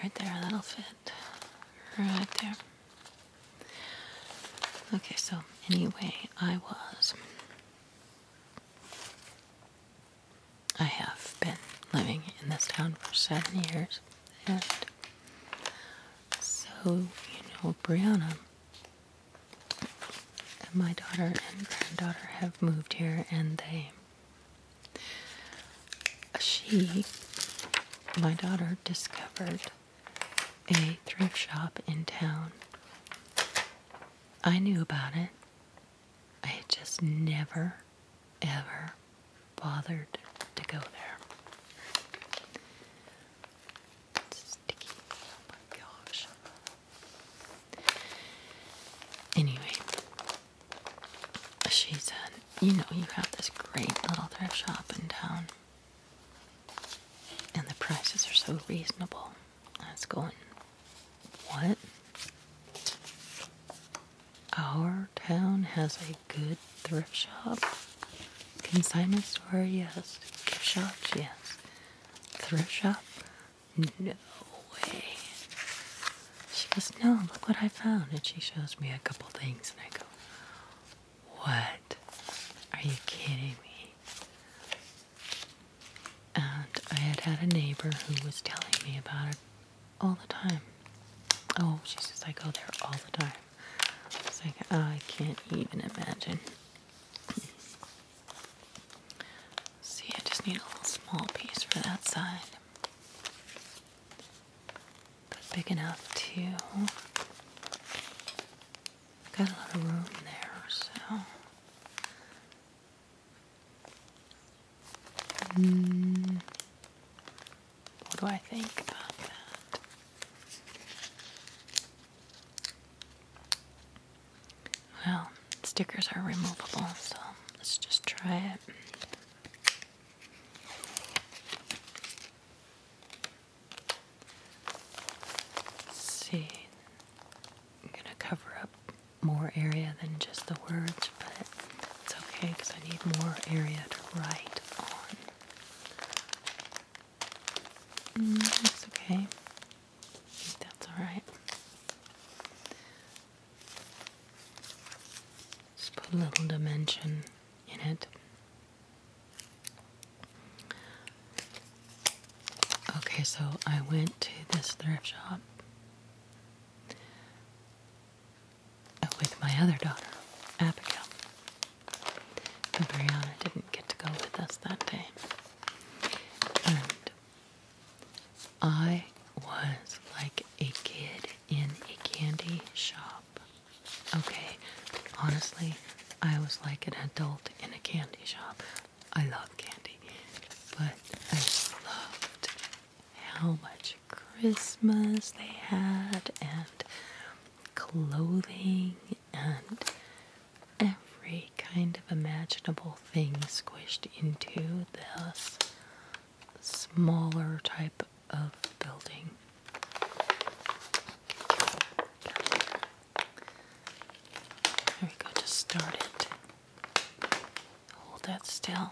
Right there, that'll fit. Right there. Okay, so anyway, I was. I have been living in this town for seven years, and so, you know, Brianna and my daughter and granddaughter have moved here, and they she, my daughter, discovered a thrift shop in town. I knew about it. I had just never, ever bothered to go there. sticky. Oh my gosh. Anyway, she said, You know, you have this great little thrift shop in town, and the prices are so reasonable. That's going, What? Our town has a good thrift shop? Consignment store, yes. Gift shops, yes. Thrift shop? No way. She goes, No, look what I found. And she shows me a couple things, and I go, What? Are you kidding me? And I had had a neighbor who was telling me about it all the time. Oh, she says, I go there all the time. It's like, oh, I can't even imagine. See, I just need a little small piece for that side. But big enough to. Got a lot of room there, so. Mm. What do I think about that? Well, stickers are removable, so let's just try it. Let's see, I'm gonna cover up more area than just the words, but it's okay because I need more area to write on. Mm, that's okay. that's alright. Just put a little dimension in it. Okay, so I went to this thrift shop with my other daughter, Abigail. But Brianna didn't get to go with us that day. And I was like a kid in a candy shop. Okay, honestly, I was like an adult in a candy shop. I love candy, but I loved how much Christmas they had and clothing and every kind of imaginable thing squished into this smaller type of building. There we go to start it. Hold that still.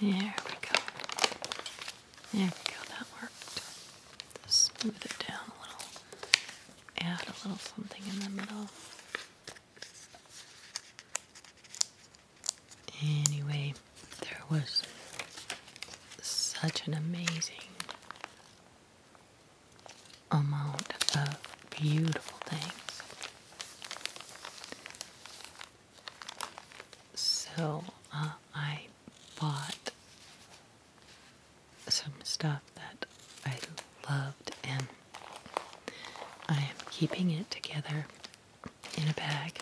There we go. There we go, that worked. Smooth it down a little. Add a little something in the middle. Anyway, there was such an amazing amount of beautiful things. So uh, I bought some stuff that I loved and I am keeping it together in a bag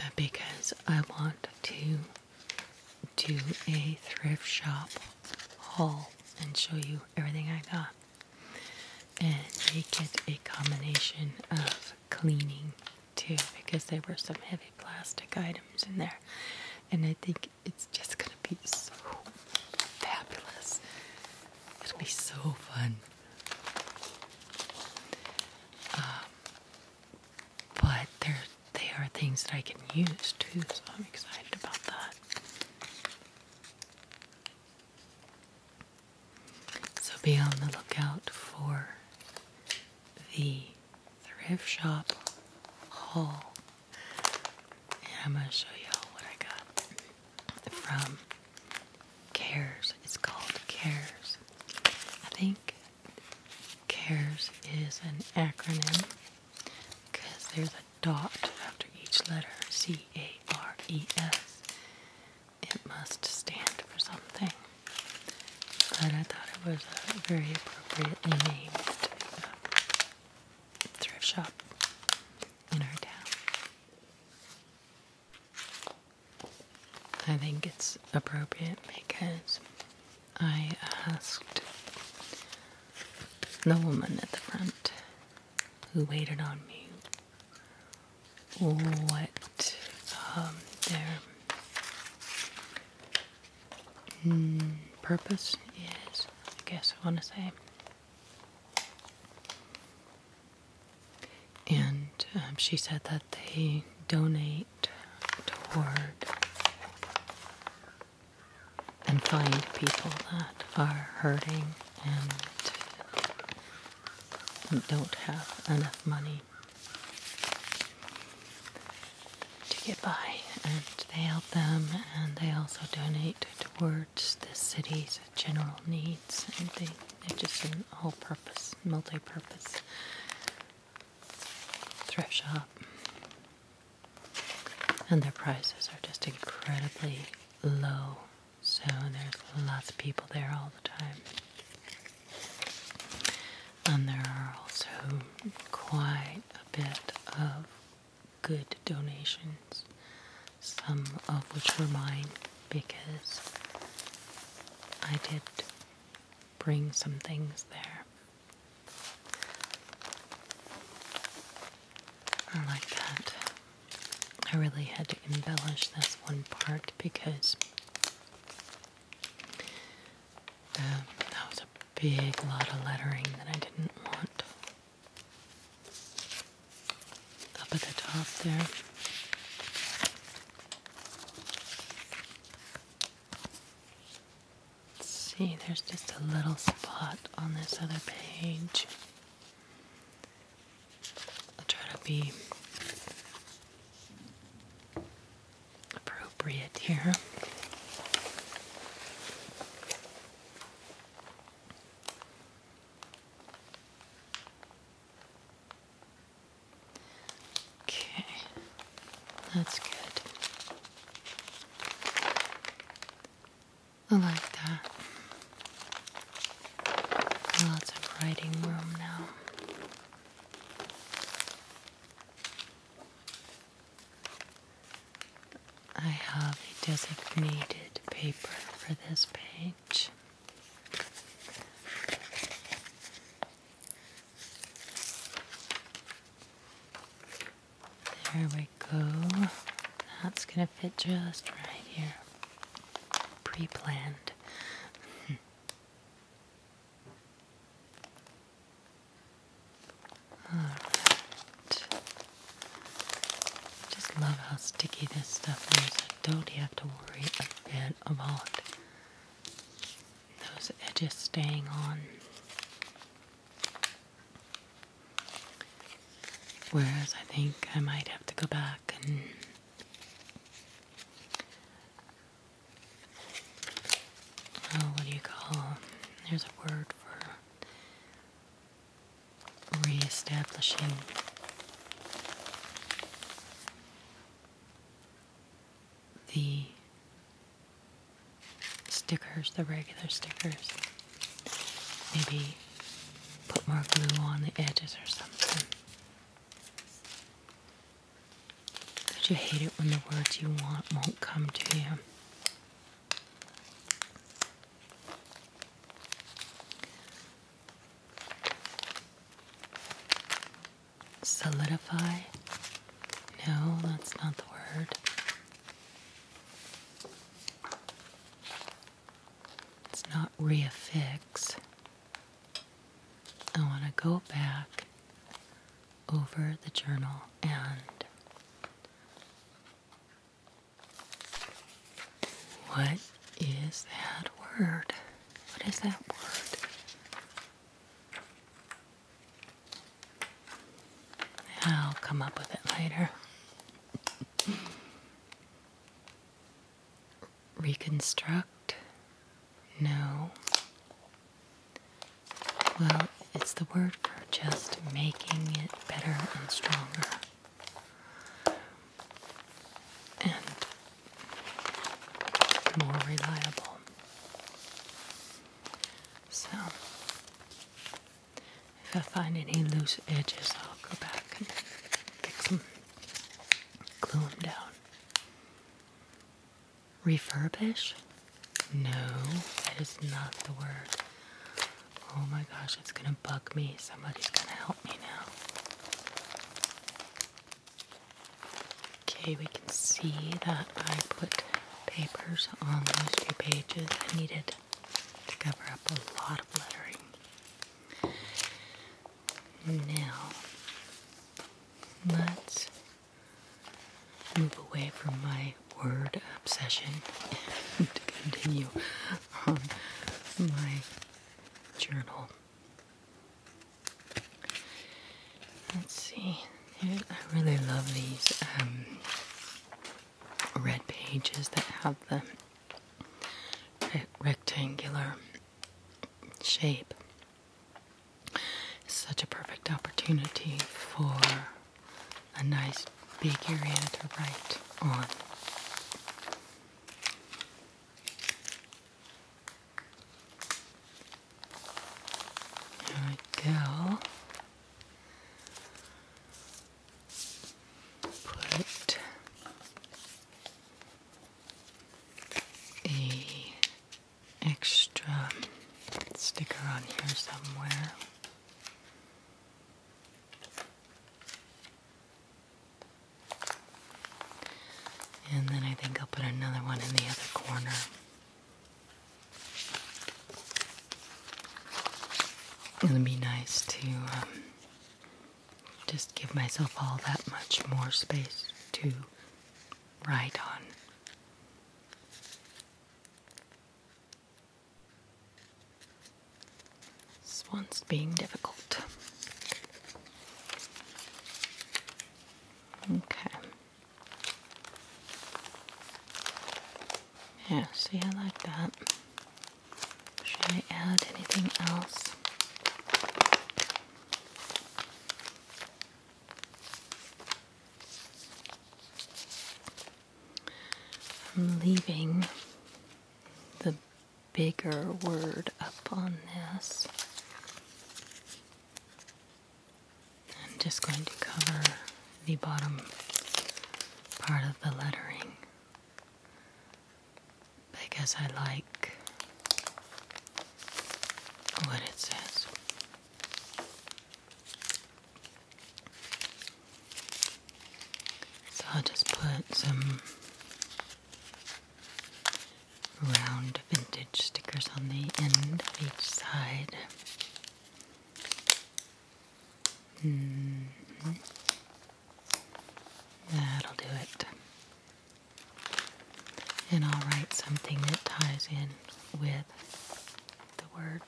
uh, because I want to do a thrift shop haul and show you everything I got and make it a combination of cleaning too because there were some heavy plastic items in there and I think it's just gonna be so fabulous. It'll be so fun. Um, but there, they are things that I can use too, so I'm excited about that. So be on the lookout for the thrift shop haul and I'm going to show y'all what I got from Cares. It's called Cares. I think Cares is an acronym because there's a dot after each letter C A R E S. It must stand for something. But I thought it was a very appropriately named uh, thrift shop in our town. I think it's appropriate because I asked the woman at the front who waited on me what um, their mm, purpose is, I guess I want to say. And um, she said that they donate toward and find people that are hurting and don't have enough money to get by, and they help them, and they also donate towards the city's general needs. And they, they're just an all purpose, multi purpose thrift shop. And their prices are just incredibly low. So there's lots of people there all the time. And there are also quite a bit of good donations, some of which were mine because I did bring some things there. I like that. I really had to embellish this one part because um, that was a big lot of lettering that I didn't want. Up at the top there. see, there's just a little spot on this other page. I'll try to be appropriate here. Okay, that's good. I like that. Lots of writing room now. I have a designated paper for this page. There we go. That's going to fit just right here. Pre planned. [LAUGHS] I Just love how sticky this stuff is. I don't have to worry a bit about those edges staying on. Whereas I think I might have to go back and oh, what do you call? There's a word for Re-establishing the stickers, the regular stickers. Maybe put more glue on the edges or something. But you hate it when the words you want won't come to you. Solidify? No, that's not the word. It's not reaffix. I want to go back over the journal and what is that word? What is that word? I'll come up with it later. Reconstruct? No. Well, it's the word for just making it better and stronger and more reliable. So, if I find any loose edges, I'll go back and glue them down. Refurbish? No, that is not the word. Oh my gosh, it's gonna bug me. Somebody's gonna help me now. Okay, we can see that I put papers on those two pages. I needed to cover up a lot of lettering. Now, let's move away from my word obsession and [LAUGHS] continue on my journal. Let's see. I really love these um, red pages that have the rectangular shape. Such a perfect opportunity for a nice big area to write on. There we go. Put a extra sticker on here somewhere. And then I think I'll put another one in the other corner. It'll be nice to um, just give myself all that much more space to write on. This one's being difficult. Okay. Yeah, see, I like that. Should I add anything else? I'm leaving the bigger word up on this. I'm just going to cover the bottom part of the lettering because I like what it says. So I'll just put some round vintage stickers on the end of each side. Mm-hmm. That'll do it. And I'll write something that ties in with the word.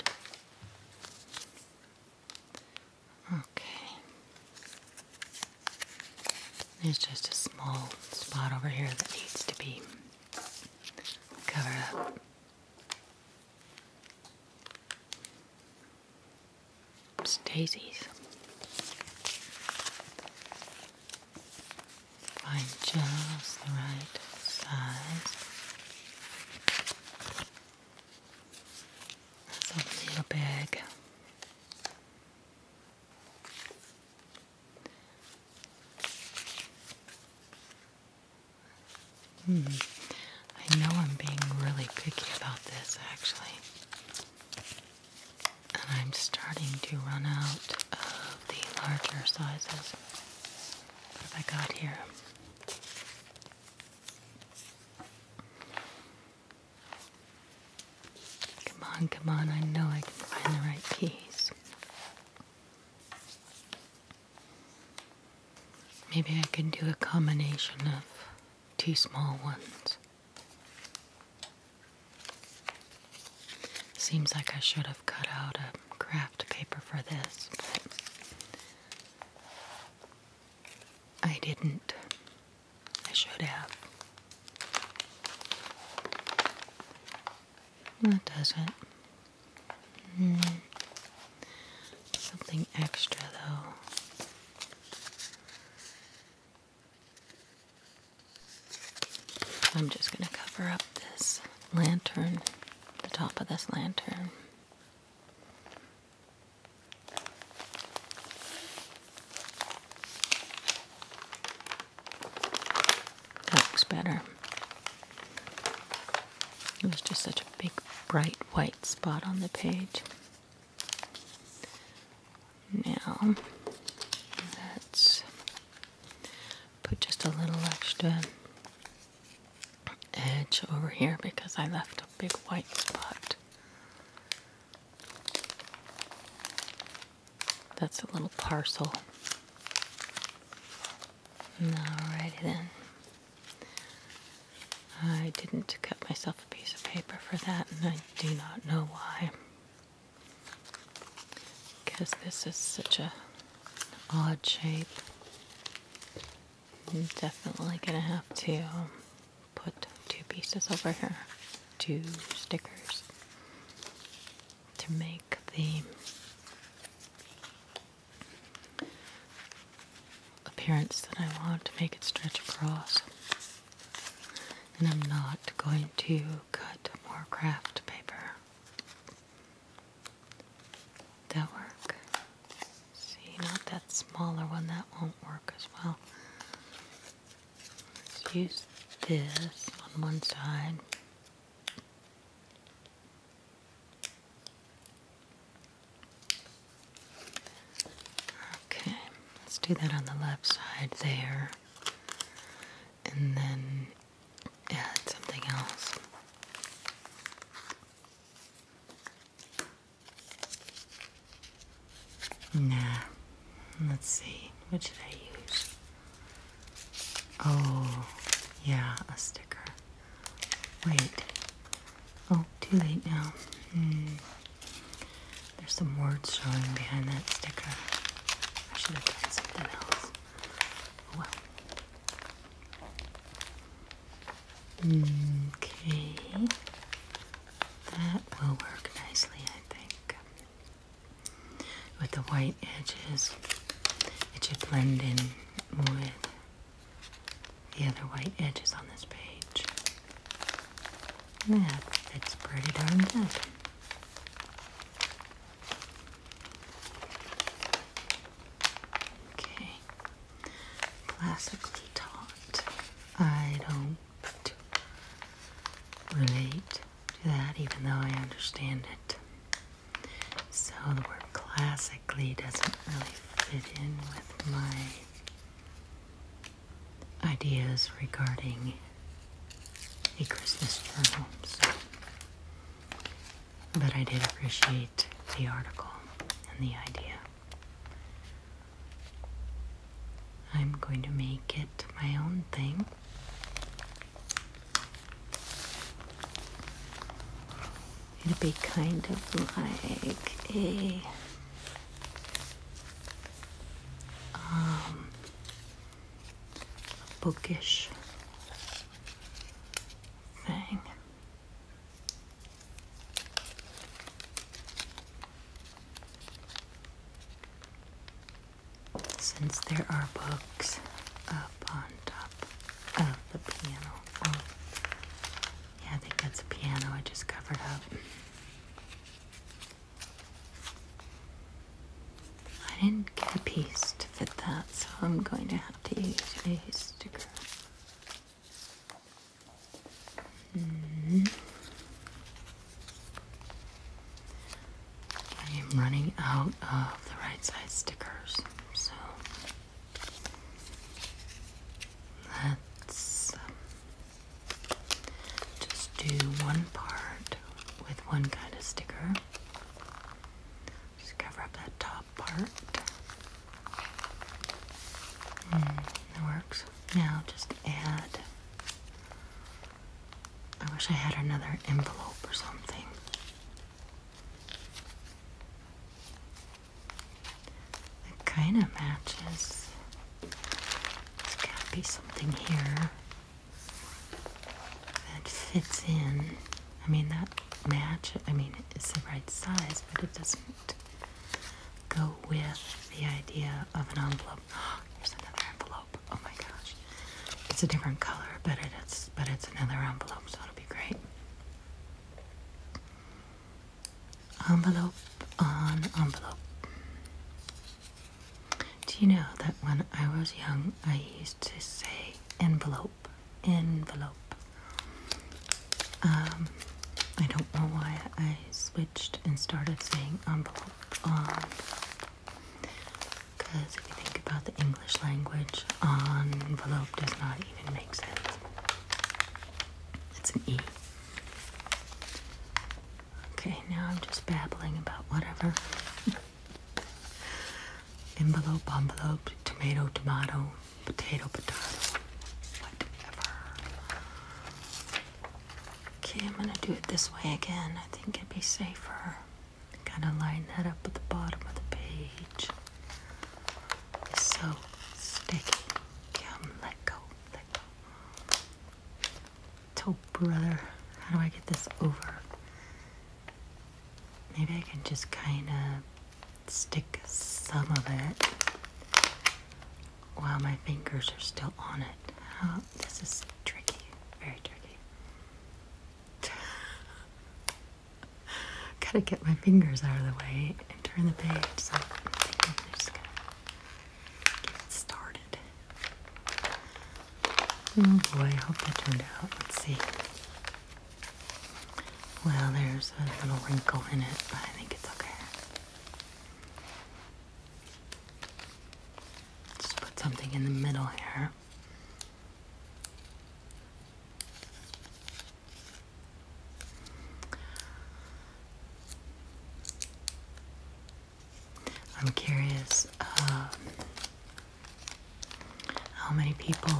Okay. There's just a small spot over here that needs to be covered up. It's daisies. Find just the right size. It's a little Hmm. I know I'm being really picky about this actually. And I'm starting to run out of the larger sizes. What have I got here? Come on, come on, I know I can find the right keys. Maybe I can do a combination of two small ones. Seems like I should have cut out a craft paper for this, but I didn't. I should have. That doesn't. Hmm. Something extra, though. I'm just going to cover up this lantern, the top of this lantern. That was better. It was just such a big, bright white spot on the page. Now, let's put just a little extra edge over here because I left a big white spot. That's a little parcel. Alrighty then. I didn't cut myself a piece of paper for that, and I do not know why. Because this is such a odd shape. I'm definitely gonna have to put two pieces over here, two stickers, to make the appearance that I want to make it stretch across. And I'm not going to cut more craft paper. That work see, not that smaller one, that won't work as well. Let's use this on one side. Okay, let's do that on the left side there. And then add something else. Nah. Let's see. What should I use? Oh, yeah, a sticker. Wait. Oh, too late now. Mm. There's some words showing behind that sticker. I should have done something else. Oh, hmm, okay. That will work nicely, I think. With the white edges, it should blend in with the other white edges on this page. Yeah, it's pretty darn good. Okay, classically taught. I don't to relate to that, even though I understand it. So the word classically doesn't really fit in with my ideas regarding a Christmas journal. So. But I did appreciate the article and the idea. I'm going to make it my own thing. It'll be kind of like a um, bookish thing. Since there are books up on top of the piano. Oh. yeah, I think that's a piano I just covered up. I didn't get a piece to fit that, so I'm going to have to use a sticker. Hmm. I am running out of the right side stickers, so let's um, just do one part with one kind of sticker. Just cover up that top part. Mm, works. Now just add. I wish I had another envelope or something. That kind of matches. There's got to be something here that fits in. I mean, that match, I mean, it's the right size, but it doesn't go with the idea of an envelope. Oh, here's [GASPS] another envelope. Oh my gosh, it's a different color, but it is, but it's another envelope, so it'll be great. Envelope on envelope. Do you know that when I was young, I used to say envelope, envelope. Um, I don't know why I switched and started saying envelope on. Because if you think about the English language, envelope does not even make sense. It's an E. Okay, now I'm just babbling about whatever. [LAUGHS] envelope, envelope, tomato, tomato, potato, potato, whatever. Okay, I'm gonna do it this way again. I think it'd be safer. Kind of line that up at the bottom of the page. It's so sticky. Come, let go, let go. Toe brother, how do I get this over? Maybe I can just kind of stick some of it Wow, my fingers are still on it. How, oh, this is tricky, very tricky. [LAUGHS] Gotta get my fingers out of the way and turn the page. So I'm, just gonna get started. Oh boy, I hope that turned out. Let's see. Well, there's a little wrinkle in it, but I think it's okay. Just put something in the middle here. I'm curious um, how many people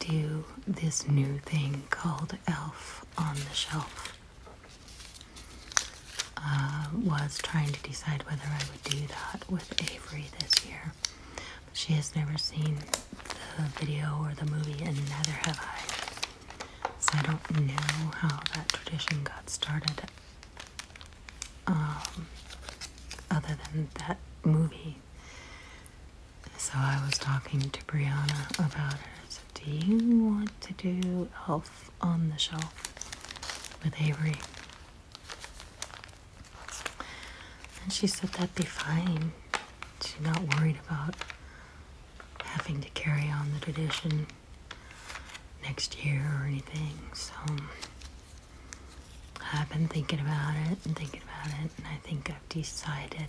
do this new thing called Elf on the Shelf uh, was trying to decide whether I would do that with Avery this year. But she has never seen the video or the movie, and neither have I. So I don't know how that tradition got started. Um, other than that movie, so I was talking to Brianna about it. So do you want to do Elf on the Shelf with Avery? And she said that'd be fine. She's not worried about having to carry on the tradition next year or anything. So I've been thinking about it and thinking about it, and I think I've decided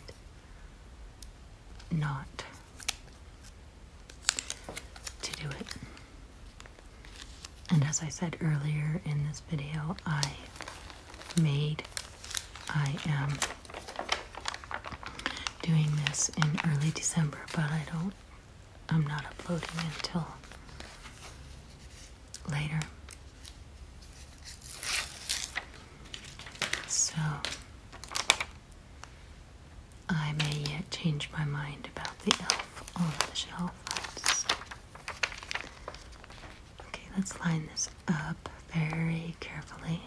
not to do it. And as I said earlier in this video, I made, I am doing this in early December, but I don't, I'm not uploading until later. So, I may yet change my mind about the elf on the shelf. Okay, let's line this up very carefully.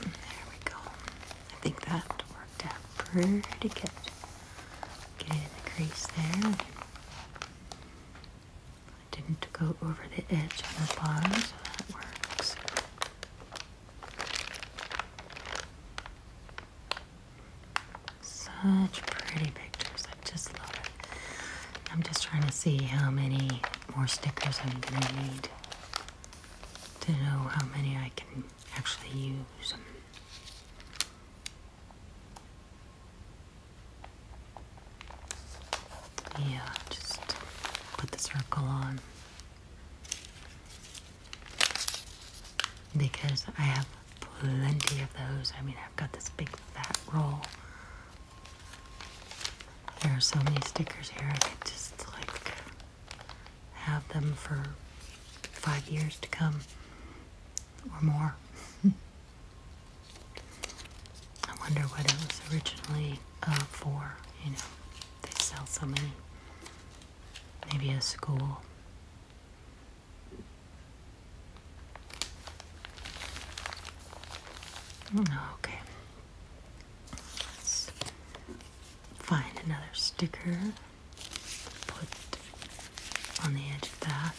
There we go. I think that worked out pretty good. Get in the crease there. I didn't go over the edge on the bottom, so that works. Such pretty pictures. I just love it. I'm just trying to see how many more stickers I'm going to need to know how many I can actually use. Yeah, just put the circle on because I have plenty of those. I mean, I've got this big fat roll. There are so many stickers here. I could just like have them for five years to come or more. [LAUGHS] I wonder what it was originally uh, for. You know, they sell so many. Maybe a school. Oh, okay. Let's find another sticker. Put on the edge of that.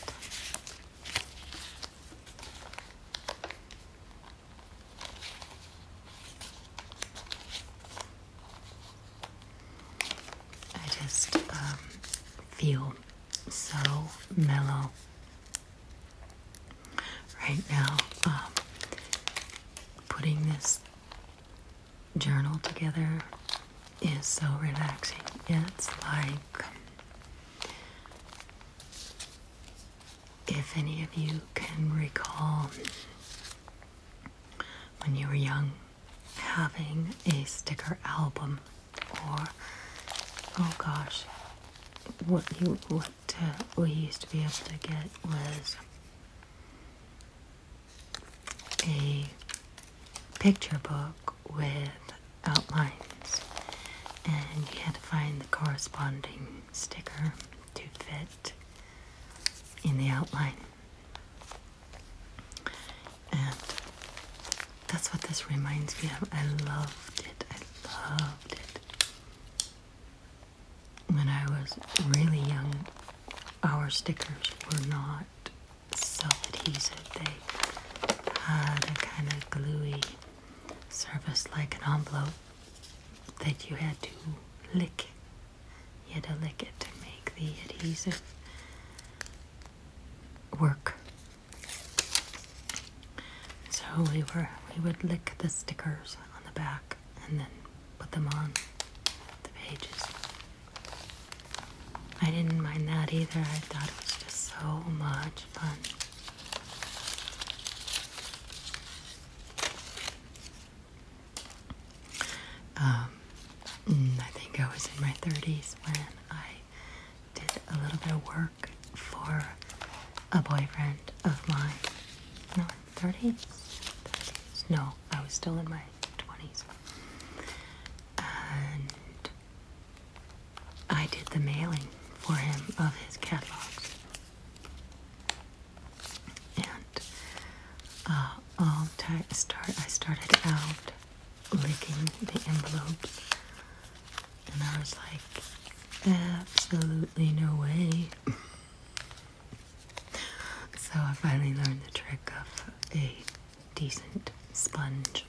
I just um, feel so mellow right now. Um, putting this journal together is so relaxing. It's like if any of you can recall when you were young having a sticker album or oh gosh what you what uh, we used to be able to get was a picture book with outlines and you had to find the corresponding sticker to fit in the outline. And that's what this reminds me of. I loved it. I loved it. When I was really young, our stickers were not self adhesive, they had a kind of gluey service like an envelope that you had to lick. You had to lick it to make the adhesive work. So we were we would lick the stickers on the back and then put them on the pages. I didn't mind that either. I thought it was just so much fun. Um, I think I was in my 30s when I did a little bit of work for a boyfriend of mine. No, 30s? No, I was still in my 20s. I did the mailing for him of his catalogs. And uh, all start, I started out licking the envelopes, and I was like, absolutely no way. so I finally learned the trick of a decent sponge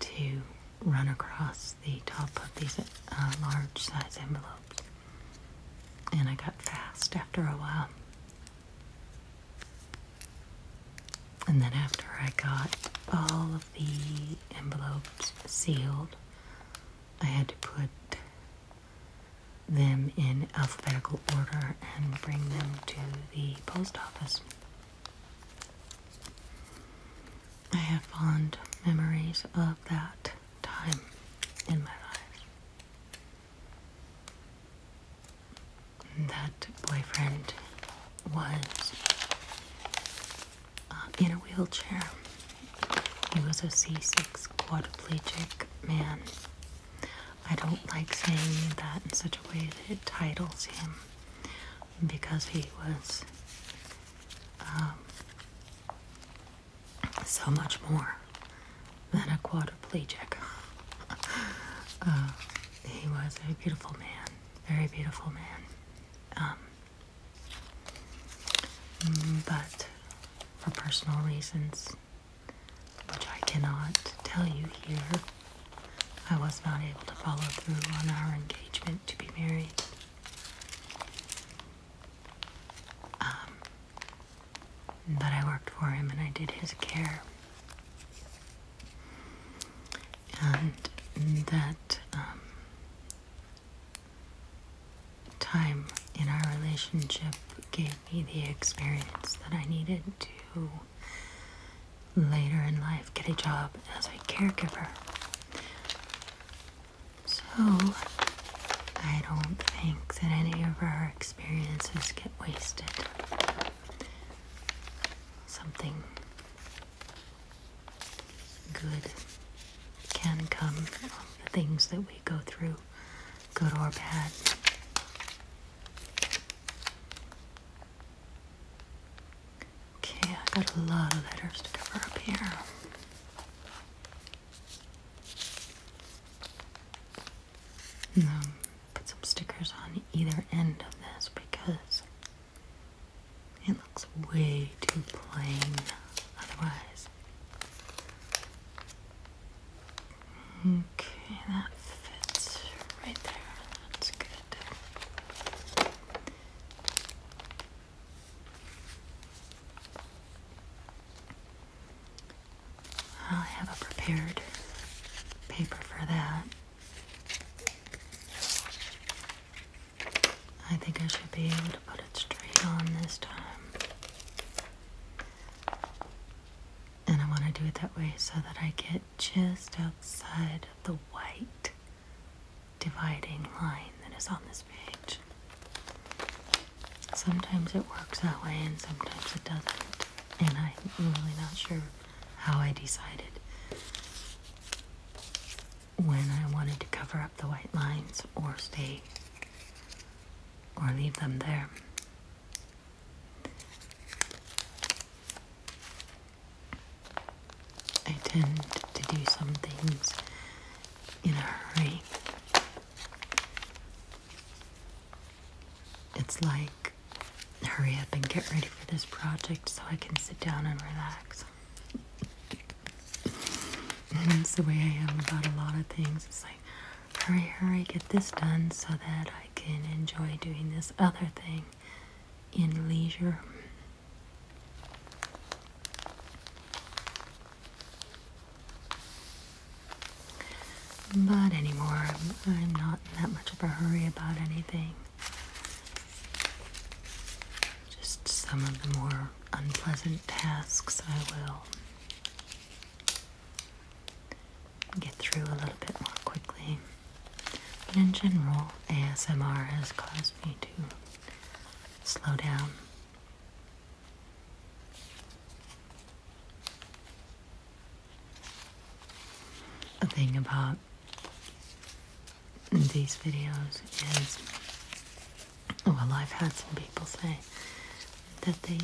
to run across the top of these uh, large size envelopes. And I got fast after a while. And then after I got all of the envelopes sealed, I had to put them in alphabetical order and bring them to the post office. I have fond memories of that time in my life. That boyfriend was uh, in a wheelchair. He was a C6 quadriplegic man. I don't like saying that in such a way that it titles him because he was um, so much more than a quadriplegic. [LAUGHS] Uh, he was a beautiful man, very beautiful man. Um, but for personal reasons, which I cannot tell you here, I was not able to follow through on our engagement to be married. Um, but I worked for him and I did his care. And that um, time in our relationship gave me the experience that I needed to later in life get a job as a caregiver. So, I don't think that any of our experiences get wasted. Something good can come from the things that we go through, good or bad. Okay, I got a lot of letters to cover up here. Um, put some stickers on either end of this because it looks way too plain otherwise. Okay, that fits right there. That's good i have a prepared paper for that. I think I should be able to put it straight on this time. And I want to do it that way so that I get just outside of the white dividing line that is on this page. Sometimes it works that way and sometimes it doesn't, and I'm really not sure how I decided when I wanted to cover up the white lines or stay or leave them there. I tend to do some things in a hurry. It's like, hurry up and get ready for this project so I can sit down and relax. It's the way I am about a lot of things. It's like, hurry, hurry, get this done so that I can enjoy doing this other thing in leisure. But anymore, I'm, not in that much of a hurry about anything. Just some of the more unpleasant tasks I will get through a little bit more quickly. But in general, ASMR has caused me to slow down. The thing about these videos is, well, I've had some people say that they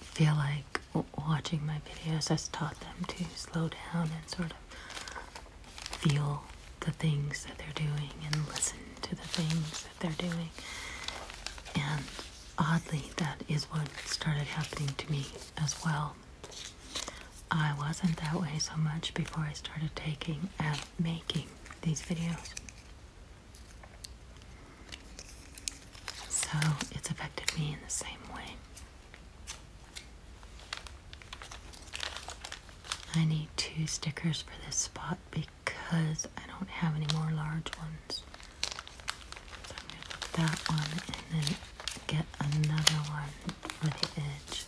feel like watching my videos has taught them to slow down and sort of feel the things that they're doing and listen to the things that they're doing. And oddly, that is what started happening to me as well. I wasn't that way so much before I started taking and making these videos. So it's affected me in the same way. I need two stickers for this spot because I don't have any more large ones. So I'm going to put that one and then get another one for the edge.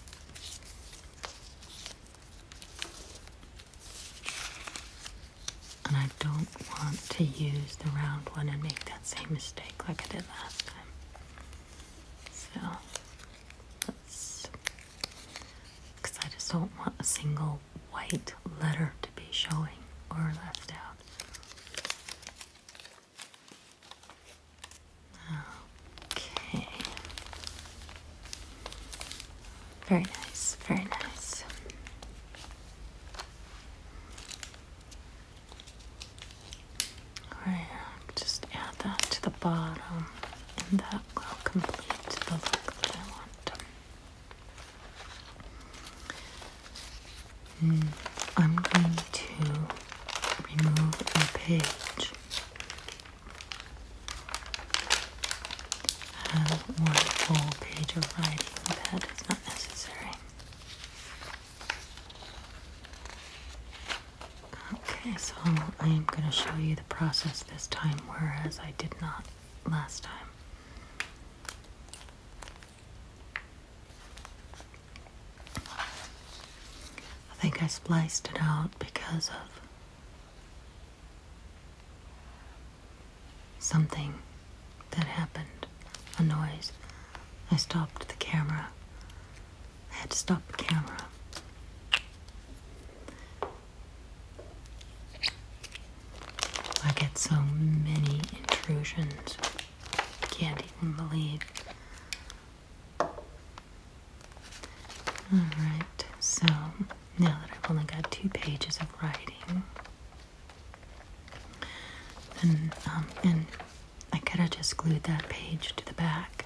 And I don't want to use the round one and make that same mistake like I did last time. So let's because I just don't want a single white letter to be showing or left out. Okay. Very nice, very nice. Alright, just add that to the bottom and that will complete the look that I want. I'm going to remove a page as one full page of writing that is not necessary. Okay, so I'm going to show you the process this time, whereas I did not last time. I think I spliced it out because of something that happened, a noise. I stopped the camera I had to stop the camera. I get so many intrusions. I can't even believe. Alright, so now that I've only got two pages of writing, then, um, and I could have just glued that page to the back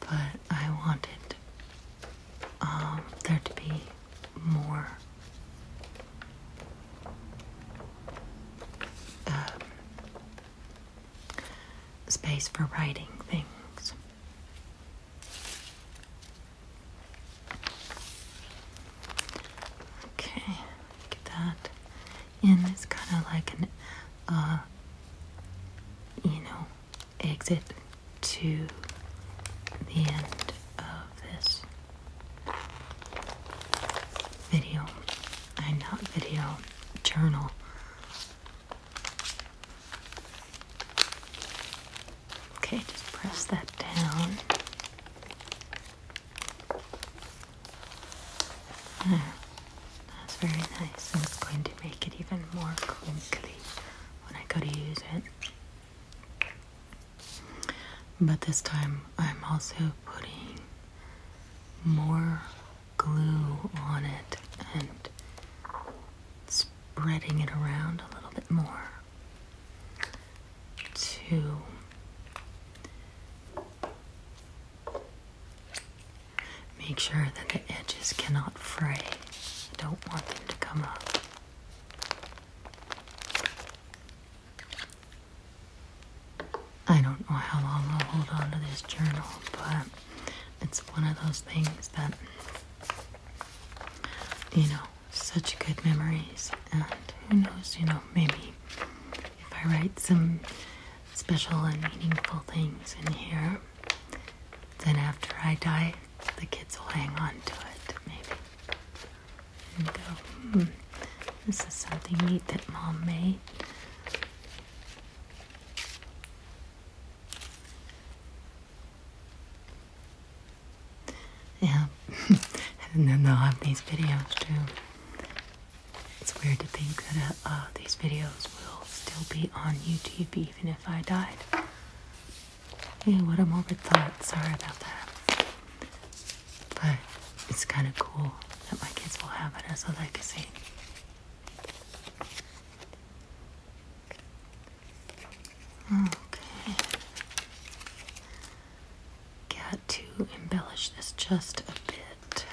but I wanted um, there to be more um, space for writing things. Okay, get that in. It's kind of like an, uh, you know, exit to the end of this video. I'm not video, journal. Okay, just press that down. There. That's very nice, and it's going to make it even more crinkly when I go to use it. But this time I'm also putting more glue on it and spreading it around a little bit more to Make sure that the edges cannot fray. I don't want them to come off. I don't know how long I'll hold on to this journal, but it's one of those things that, you know, such good memories. And who knows, you know, maybe if I write some special and meaningful things in here, then after I die, the kids will hang on to it, maybe. And go, hmm, this is something neat that mom made. Yeah, [LAUGHS] and then they'll have these videos too. It's weird to think that uh, these videos will still be on YouTube even if I died. Yeah, what a morbid thought. Sorry about that. But it's kind of cool that my kids will have it as a legacy. Okay. Got to embellish this just a bit.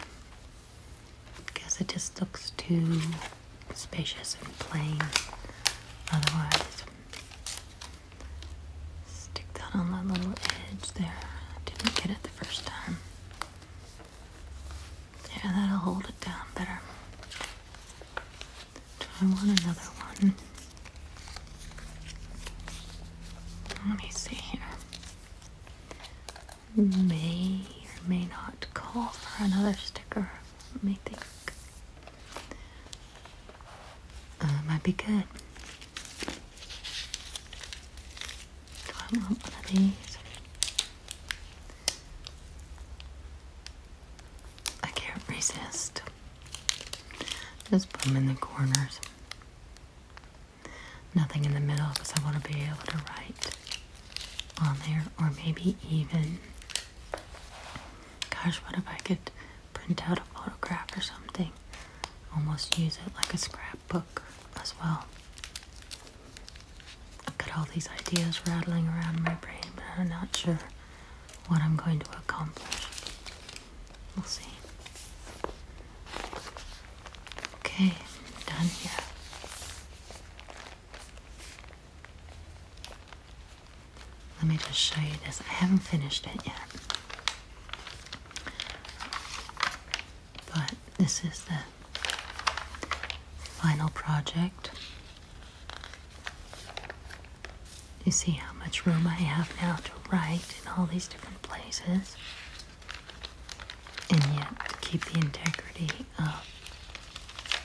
Guess it just looks too spacious and plain otherwise. Stick that on that little edge there. Didn't get it the first time. There, that'll hold it down better. Try one another one. Let me see here. May or may not call for another sticker. Let me think. Uh, might be good. I want one of these? I can't resist. Just put them in the corners. Nothing in the middle because I want to be able to write on there, or maybe even, gosh, what if I could print out a photograph or something? Almost use it like a scrapbook as well. I've got all these ideas rattling around in my brain, but I'm not sure what I'm going to accomplish. We'll see. Okay, done here. Let me just show you this. I haven't finished it yet. But this is the final project. You see how much room I have now to write in all these different places, and yet to keep the integrity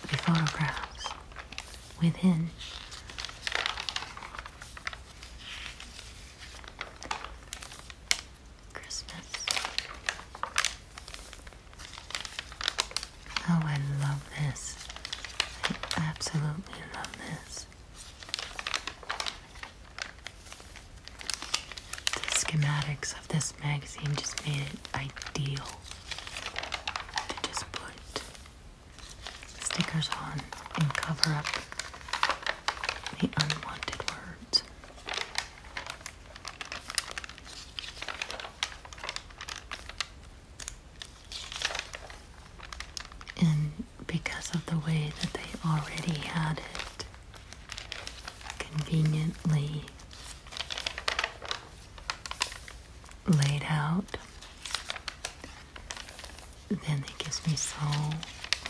the photographs within. Christmas. Oh, I love this. I absolutely love this. The schematics this magazine just made it ideal to just put stickers on and cover up the unwanted words. And because of the way that they already had it conveniently laid out, then it gives me so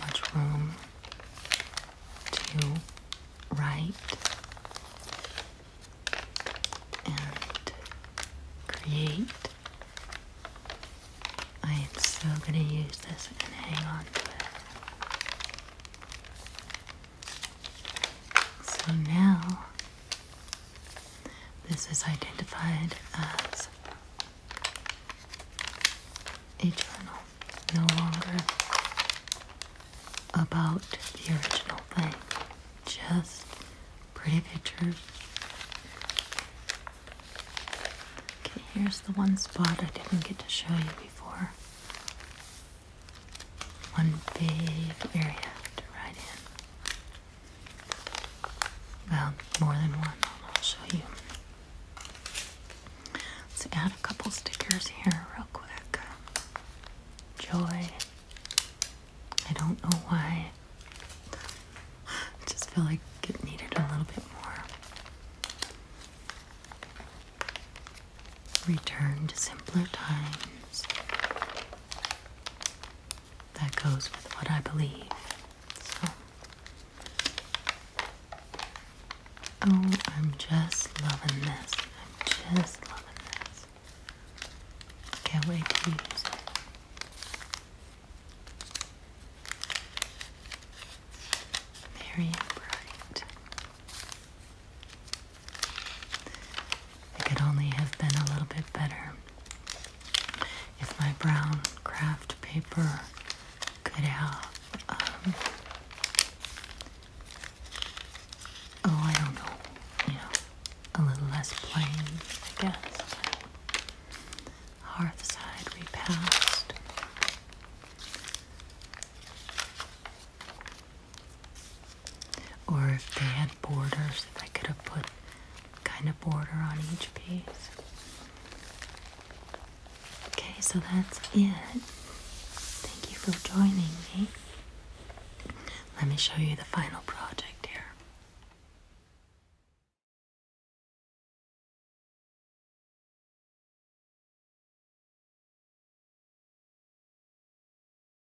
much room to write and create. I am so going to use this and hang on to it. So now this is identified as a journal, no longer about the original thing, just pretty pictures. Okay, here's the one spot I didn't get to show you before. One big area to ride in. Well, more than one. I'll show you. Let's add a couple stickers here, real quick. Joy. I don't know why. I just feel like it needed a little bit more. Return to simpler times that goes with what I believe. oh, I'm just loving this. I'm just loving this. Can't wait to use it. Very bright. It could only have been a little bit better if my brown craft paper could have. Um, oh, I don't know, you know, a little less plain, I guess. Hearthside we passed. Or if they had borders, if I could have put kind of border on each piece. Okay, so that's it. Thank you for joining me. Let me show you the final project here.